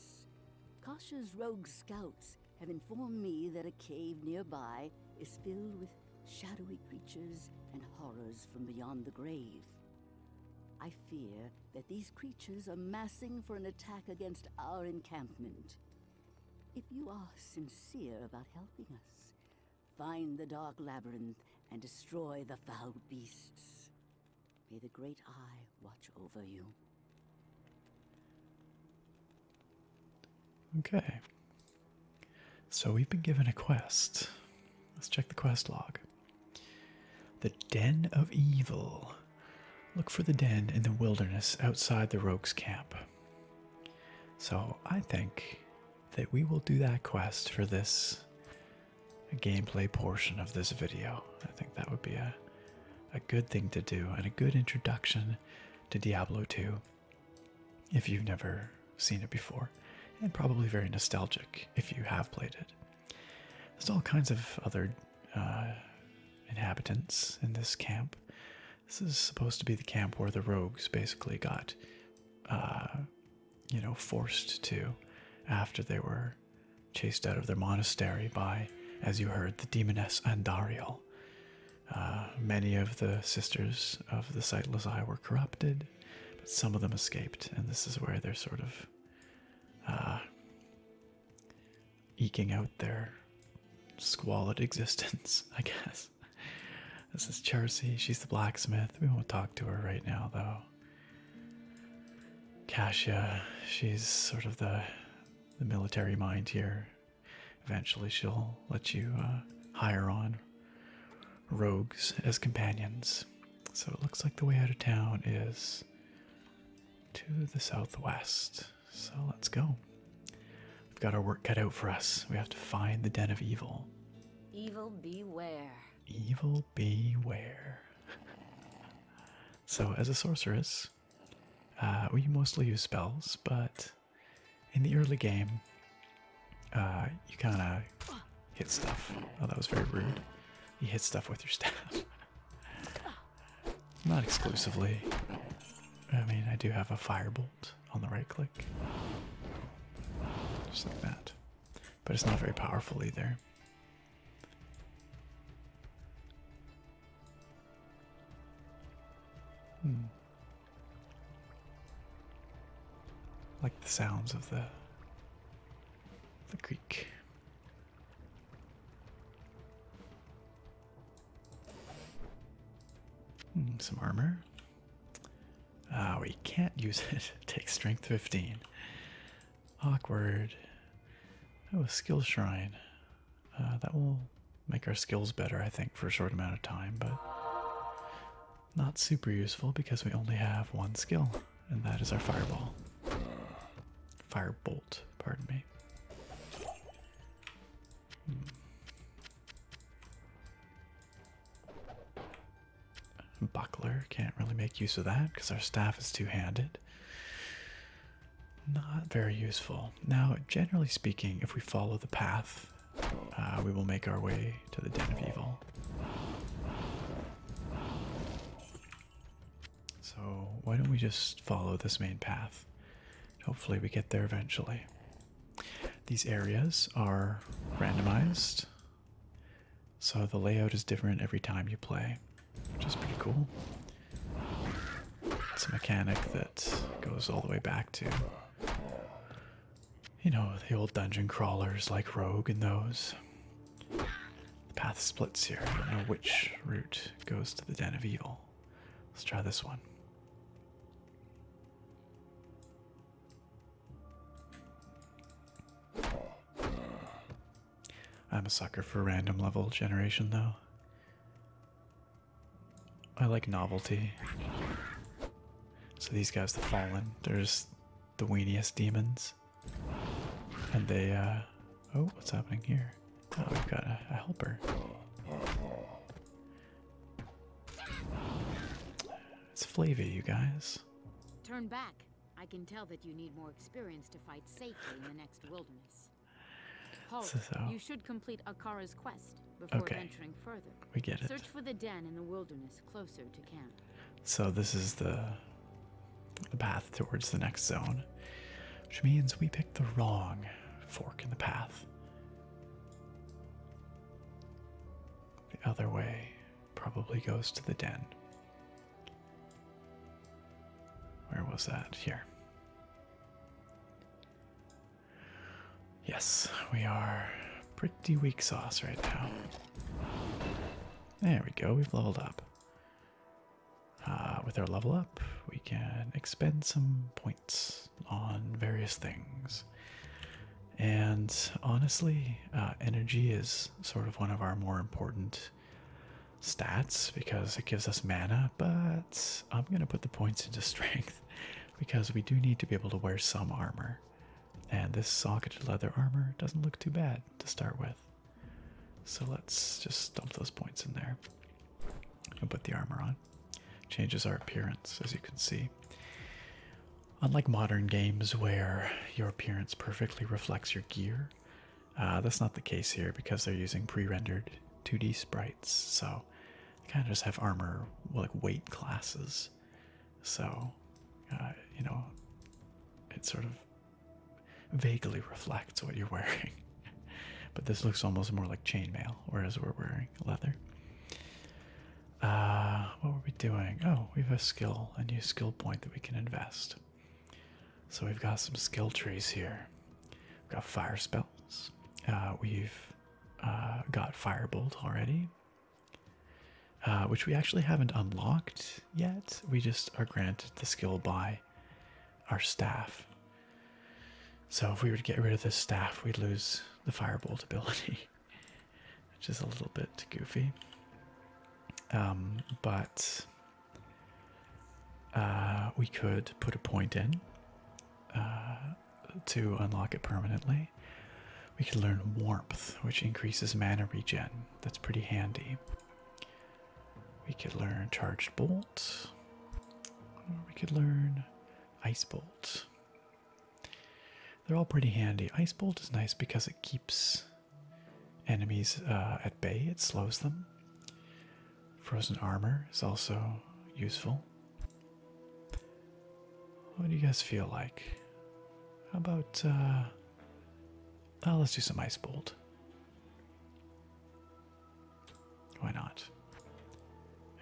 Kasha's rogue scouts have informed me that a cave nearby is filled with shadowy creatures and horrors from beyond the grave. I fear that these creatures are massing for an attack against our encampment. If you are sincere about helping us, find the Dark Labyrinth and destroy the foul beasts. May the Great Eye watch over you. Okay. So we've been given a quest. Let's check the quest log. The Den of Evil. Look for the den in the wilderness outside the rogues' camp. So I think that we will do that quest for this gameplay portion of this video. I think that would be a a good thing to do and a good introduction to Diablo 2 if you've never seen it before, and probably very nostalgic if you have played it. There's all kinds of other uh, inhabitants in this camp. This is supposed to be the camp where the rogues basically got, uh, you know, forced to after they were chased out of their monastery by, as you heard, the demoness Andariel. Uh, many of the sisters of the sightless eye were corrupted, but some of them escaped, and this is where they're sort of uh, eking out their squalid existence, I guess. This is Chelsea. She's the blacksmith. We won't talk to her right now, though. Cassia, she's sort of the military mind here. Eventually, she'll let you uh, hire on rogues as companions. So it looks like the way out of town is to the southwest. So let's go. We've got our work cut out for us. We have to find the den of evil. Evil beware. Evil beware. so, as a sorceress, uh, we mostly use spells, but in the early game, uh, you kind of hit stuff. Oh, that was very rude. You hit stuff with your staff. Not exclusively. I mean, I do have a firebolt on the right click. Just like that. But it's not very powerful either. Hmm. Like the sounds of the the creek. Hmm, some armor. Ah, we can't use it. Take strength 15. Awkward. Oh, a skill shrine. Uh, that will make our skills better, I think, for a short amount of time, but not super useful because we only have one skill, and that is our fireball. Firebolt, pardon me. Hmm. Buckler can't really make use of that because our staff is two handed. Not very useful. Now, generally speaking, if we follow the path, uh, we will make our way to the den of evil. So, why don't we just follow this main path? Hopefully, we get there eventually. These areas are randomized, so the layout is different every time you play, which is pretty cool. It's a mechanic that goes all the way back to you know, the old dungeon crawlers like Rogue and those. The path splits here. I don't know which route goes to the Den of Evil. Let's try this one. I'm a sucker for random level generation, though. I like novelty. So these guys, the Fallen, they're just the weeniest demons. And they, uh, oh, what's happening here? Oh, we've got a, helper. It's Flavia, you guys. Turn back. I can tell that you need more experience to fight safely in the next wilderness. Halt, you should complete Akara's quest before venturing further. We get it. Search for the den in the wilderness closer to camp. So this is the the path towards the next zone, which means we picked the wrong fork in the path. The other way probably goes to the den. Where was that? Here. Yes, we are pretty weak sauce right now. There we go, we've leveled up. Uh, with our level up, we can expend some points on various things. And honestly, uh, energy is sort of one of our more important stats because it gives us mana, but I'm going to put the points into strength because we do need to be able to wear some armor. And this socketed leather armor doesn't look too bad to start with. So let's just dump those points in there and put the armor on. Changes our appearance, as you can see. Unlike modern games where your appearance perfectly reflects your gear, uh, that's not the case here because they're using pre-rendered 2D sprites. So I kind of just have armor, like weight classes so, uh, you know, it sort of vaguely reflects what you're wearing. but this looks almost more like chainmail, whereas we're wearing leather. Uh, what were we doing? Oh, we have a skill, a new skill point that we can invest. So we've got some skill trees here. We've got fire spells. Uh, we've uh, got firebolt already. Uh, which we actually haven't unlocked yet. We just are granted the skill by our staff. So if we were to get rid of this staff, we'd lose the firebolt ability, which is a little bit goofy. Um, but uh, we could put a point in uh, to unlock it permanently. We could learn warmth, which increases mana regen that's pretty handy. We could learn charged bolt, we could learn ice bolt. They're all pretty handy. Ice bolt is nice because it keeps enemies uh, at bay, it slows them. Frozen armor is also useful. What do you guys feel like? How about uh, Oh, let's do some ice bolt. Why not?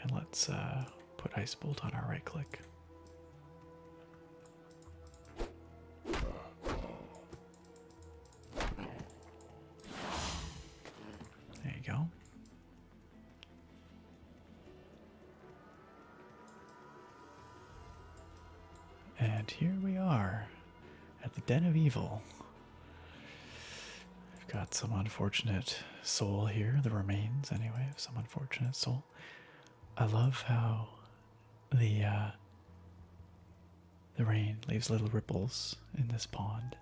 And let's uh, put ice bolt on our right click. There you go. And here we are at the Den of Evil. We've got some unfortunate soul here, the remains, anyway, of some unfortunate soul. I love how the uh, the rain leaves little ripples in this pond,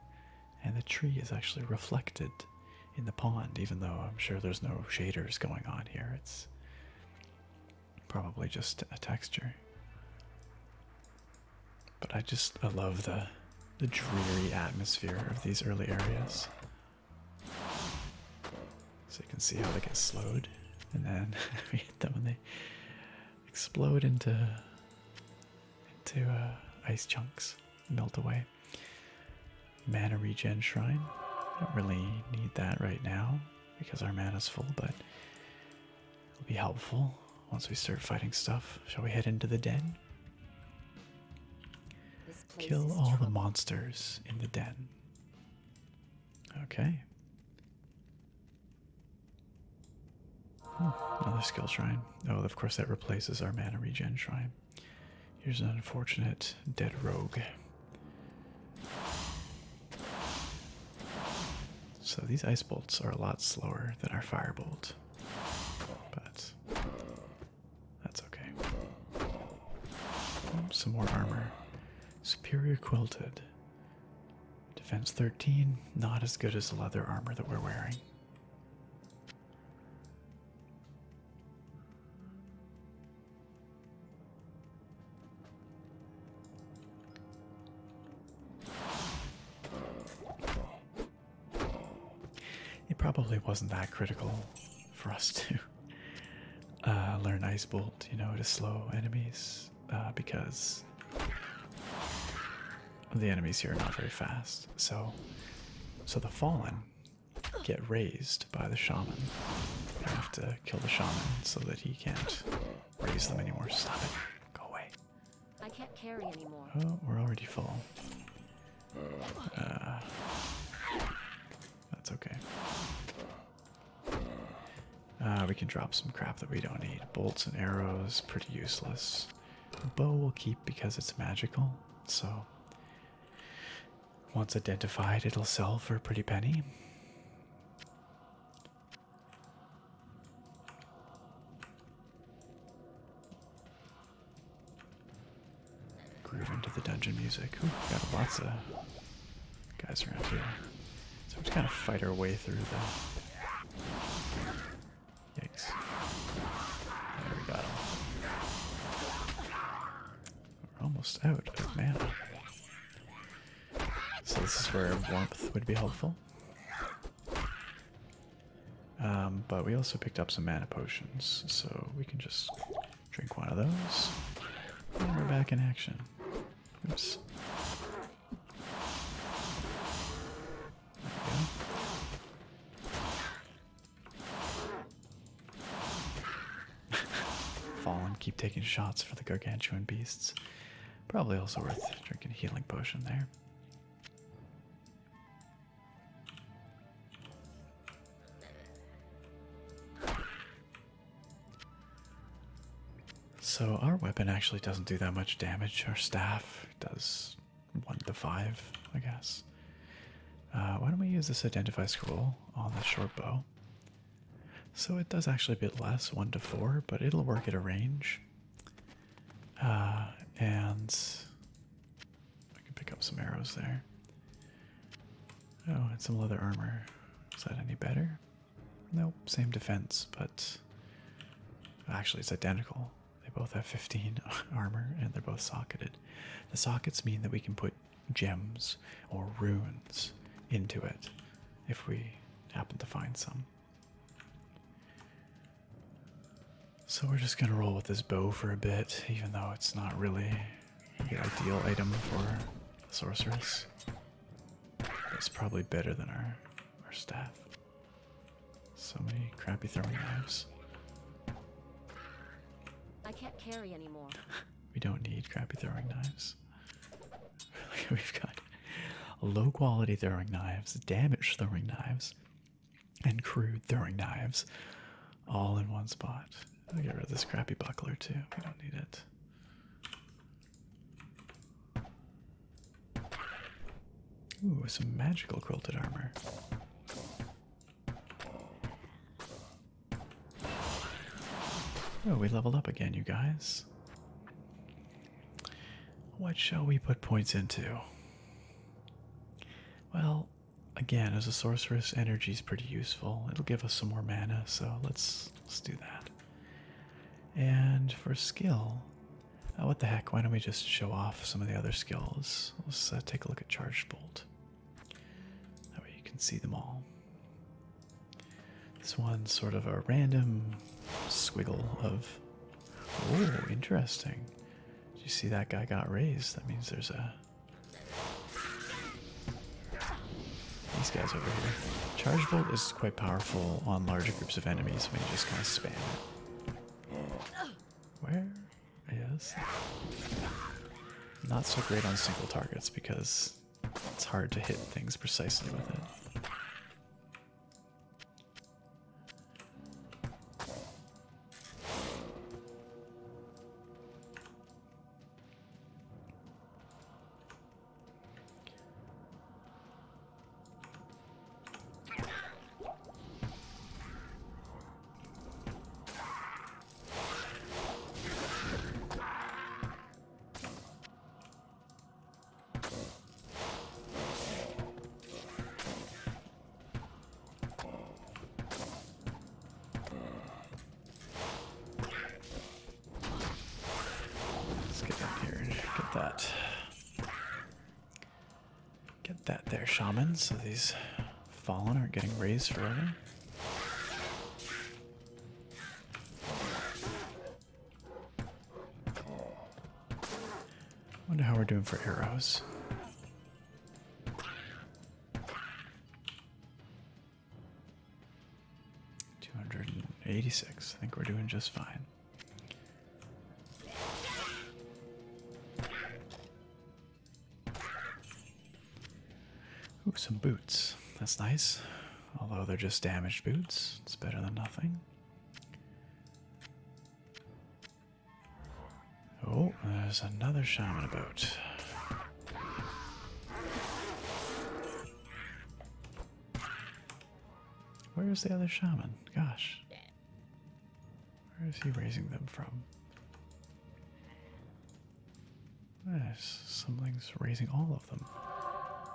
and the tree is actually reflected in the pond, even though I'm sure there's no shaders going on here. It's Probably just a texture. But I just I love the the dreary atmosphere of these early areas. So you can see how they get slowed, and then we hit them when they explode into into uh, ice chunks, melt away. Mana regen shrine. I don't really need that right now because our mana's full, but it'll be helpful once we start fighting stuff. Shall we head into the den? Kill all the monsters in the den. Okay. Hmm, another skill shrine. Oh, of course, that replaces our mana regen shrine. Here's an unfortunate dead rogue. So these ice bolts are a lot slower than our fire bolt, but that's okay. Hmm, some more armor. Superior quilted. Defense 13, not as good as the leather armor that we're wearing. It probably wasn't that critical for us to uh, learn Ice Bolt, you know, to slow enemies uh, because the enemies here are not very fast. So, so the fallen get raised by the shaman. You have to kill the shaman so that he can't raise them anymore. Stop it. Go away. I can't carry anymore. Oh, we're already full. Uh, that's okay. Uh, we can drop some crap that we don't need. Bolts and arrows, pretty useless. bow we'll keep because it's magical, so once identified, it'll sell for a pretty penny. Groove into the dungeon music. Ooh, got lots of guys around here. So we just kind of fight our way through the. Yikes. There we got we're almost out of mana. So this is where warmth would be helpful. Um, but we also picked up some mana potions, so we can just drink one of those. And we're back in action. Fallen, keep taking shots for the gargantuan beasts. Probably also worth drinking healing potion there. So our weapon actually doesn't do that much damage. Our staff does one to five, I guess. Uh, why don't we use this identify scroll on the short bow? So it does actually a bit less, one to four, but it'll work at a range. Uh, and I can pick up some arrows there. Oh, and some leather armor. Is that any better? Nope, same defense, but actually it's identical. They both have 15 armor and they're both socketed. The sockets mean that we can put gems or runes into it if we happen to find some. So we're just gonna roll with this bow for a bit, even though it's not really the ideal item for the sorceress. It's probably better than our our staff. So many crappy throwing knives. I can't carry anymore. we don't need crappy throwing knives. We've got low quality throwing knives, damaged throwing knives, and crude throwing knives all in one spot. I'll get rid of this crappy buckler too. We don't need it. Ooh, some magical quilted armor. Oh, we leveled up again, you guys. What shall we put points into? Well, again, as a sorceress, energy is pretty useful. It'll give us some more mana, so let's let's do that. And for skill, uh, what the heck? Why don't we just show off some of the other skills? Let's uh, take a look at Charge bolt. That way you can see them all. This one's sort of a random squiggle of. Oh, interesting. Did you see that guy got raised? That means there's a. These guys over here. Charge Bolt is quite powerful on larger groups of enemies when you just kind of spam it. Where is. Not so great on single targets because it's hard to hit things precisely with it. Let's get up here and get that. Get that there, shaman, so these fallen aren't getting raised forever. Wonder how we're doing for arrows. Two hundred and eighty-six. I think we're doing just fine. Ooh, some boots. That's nice. Although they're just damaged boots, it's better than nothing. Oh, there's another shaman about. Where is the other shaman? Gosh. Where is he raising them from? There's something's raising all of them.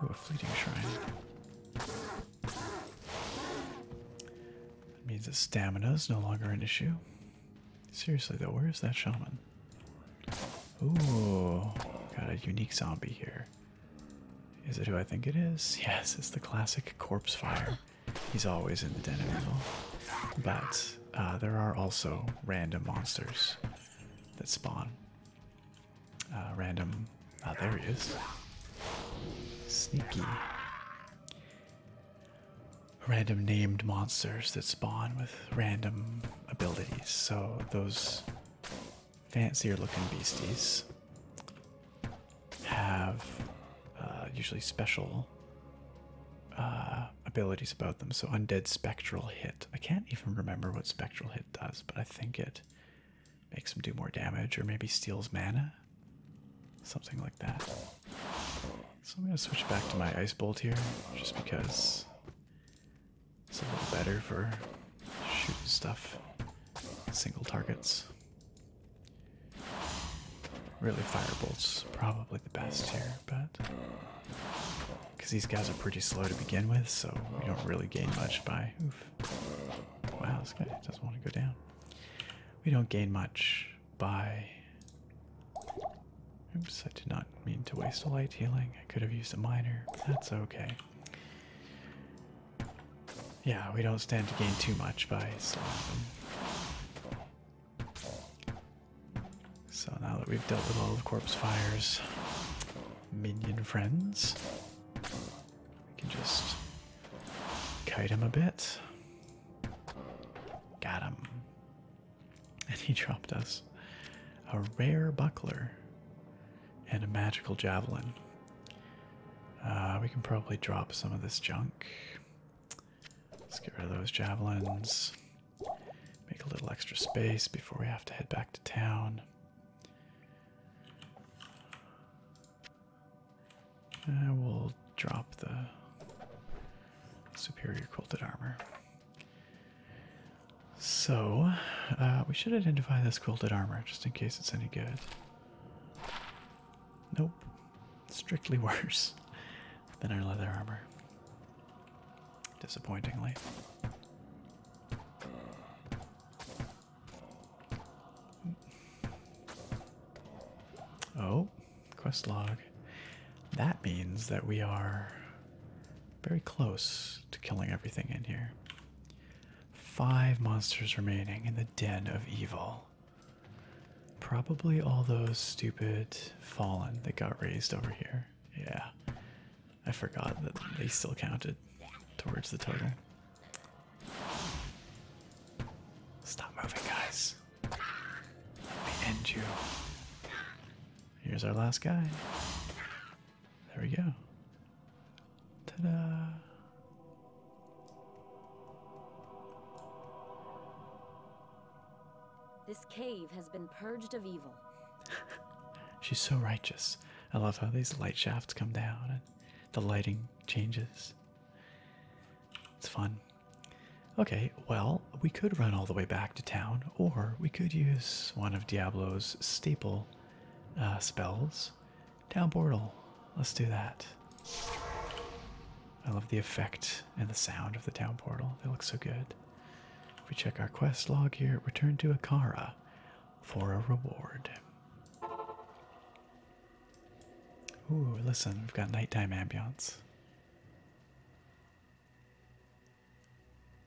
Ooh, a fleeting shrine. That means that stamina is no longer an issue. Seriously though, where is that shaman? Ooh, got a unique zombie here. Is it who I think it is? Yes, it's the classic corpse fire. He's always in the den of evil. But uh, there are also random monsters that spawn uh, random. Ah, there he is. Sneaky. Random named monsters that spawn with random abilities. So those fancier looking beasties have uh, usually special uh, abilities about them. So undead spectral hit. I can't even remember what spectral hit does but I think it makes him do more damage or maybe steals mana. Something like that. So I'm going to switch back to my Ice Bolt here just because it's a little better for shooting stuff, single targets. Really, fire bolts probably the best here, but because these guys are pretty slow to begin with, so we don't really gain much by. Wow, this guy doesn't want to go down. We don't gain much by. Oops, I did not mean to waste a light healing. I could have used a miner, that's okay. Yeah, we don't stand to gain too much by So now that we've dealt with all the corpse fires, minion friends. We can just kite him a bit. Got him. And he dropped us a rare buckler and a magical javelin. Uh, we can probably drop some of this junk. Let's get rid of those javelins. Make a little extra space before we have to head back to town. I will drop the superior quilted armor. So, uh, we should identify this quilted armor just in case it's any good. Nope. Strictly worse than our leather armor disappointingly. Oh, quest log. That means that we are very close to killing everything in here. Five monsters remaining in the den of evil. Probably all those stupid fallen that got raised over here. Yeah. I forgot that they still counted towards the total. Stop moving, guys. Let me end you. Here's our last guy. There we go. Ta da! This cave has been purged of evil. She's so righteous. I love how these light shafts come down and the lighting changes. It's fun. Okay, well, we could run all the way back to town, or we could use one of Diablo's staple uh, spells. Town portal. Let's do that. I love the effect and the sound of the town portal. They look so good. If we check our quest log here, return to Akara for a reward. Ooh, listen, we've got nighttime ambience.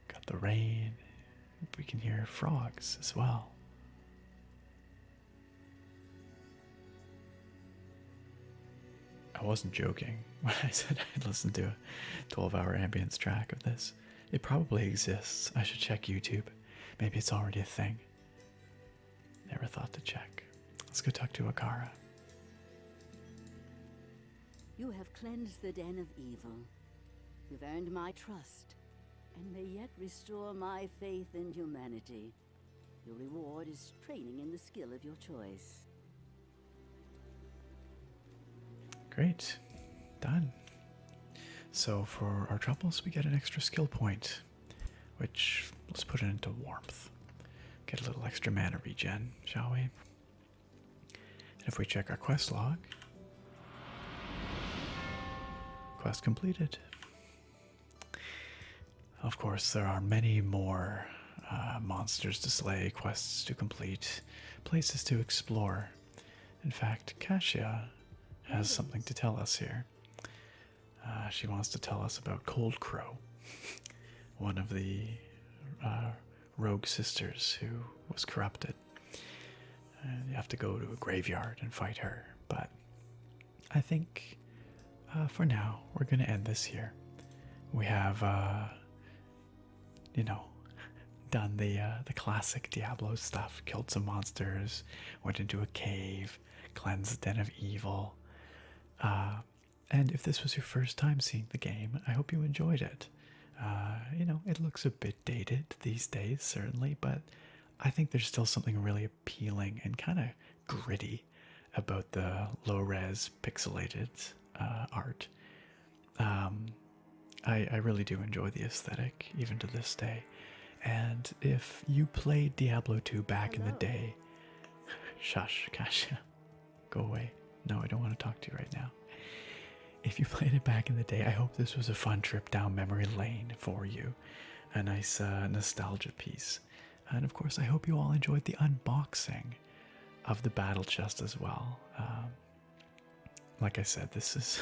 Got the rain. We can hear frogs as well. I wasn't joking when I said I'd listen to a 12 hour ambience track of this. It probably exists. I should check YouTube. Maybe it's already a thing. Never thought to check. Let's go talk to Akara. You have cleansed the den of evil. You've earned my trust, and may yet restore my faith in humanity. Your reward is training in the skill of your choice. Great. Done. So for our troubles, we get an extra skill point, which let's put it into warmth. Get a little extra mana regen, shall we? And if we check our quest log, quest completed. Of course, there are many more uh, monsters to slay, quests to complete, places to explore in fact, Cassia has something to tell us here. Uh, she wants to tell us about Cold Crow, one of the uh, rogue sisters who was corrupted. you have to go to a graveyard and fight her, but I think uh, for now we're going to end this here. We have you know, done the uh, the classic Diablo stuff, killed some monsters, went into a cave, cleansed the den of evil. Uh, and if this was your first time seeing the game, I hope you enjoyed it. Uh, you know, it looks a bit dated these days, certainly, but I think there's still something really appealing and kind of gritty about the low res pixelated art. Um, I, really do enjoy the aesthetic even to this day. And if you played Diablo 2 back in the day, shush, Kasha, go away. No, I don't want to talk to you right now. If you played it back in the day, I hope this was a fun trip down memory lane for you. A nice uh, nostalgia piece. And of course, I hope you all enjoyed the unboxing of the battle chest as well. Um, like I said, this is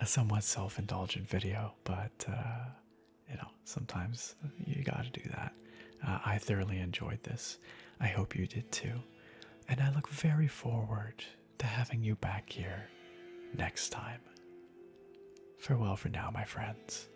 a somewhat self indulgent video, but uh, you know, sometimes you gotta do that. Uh, I thoroughly enjoyed this. I hope you did too. And I look very forward to having you back here next time. Farewell for now, my friends.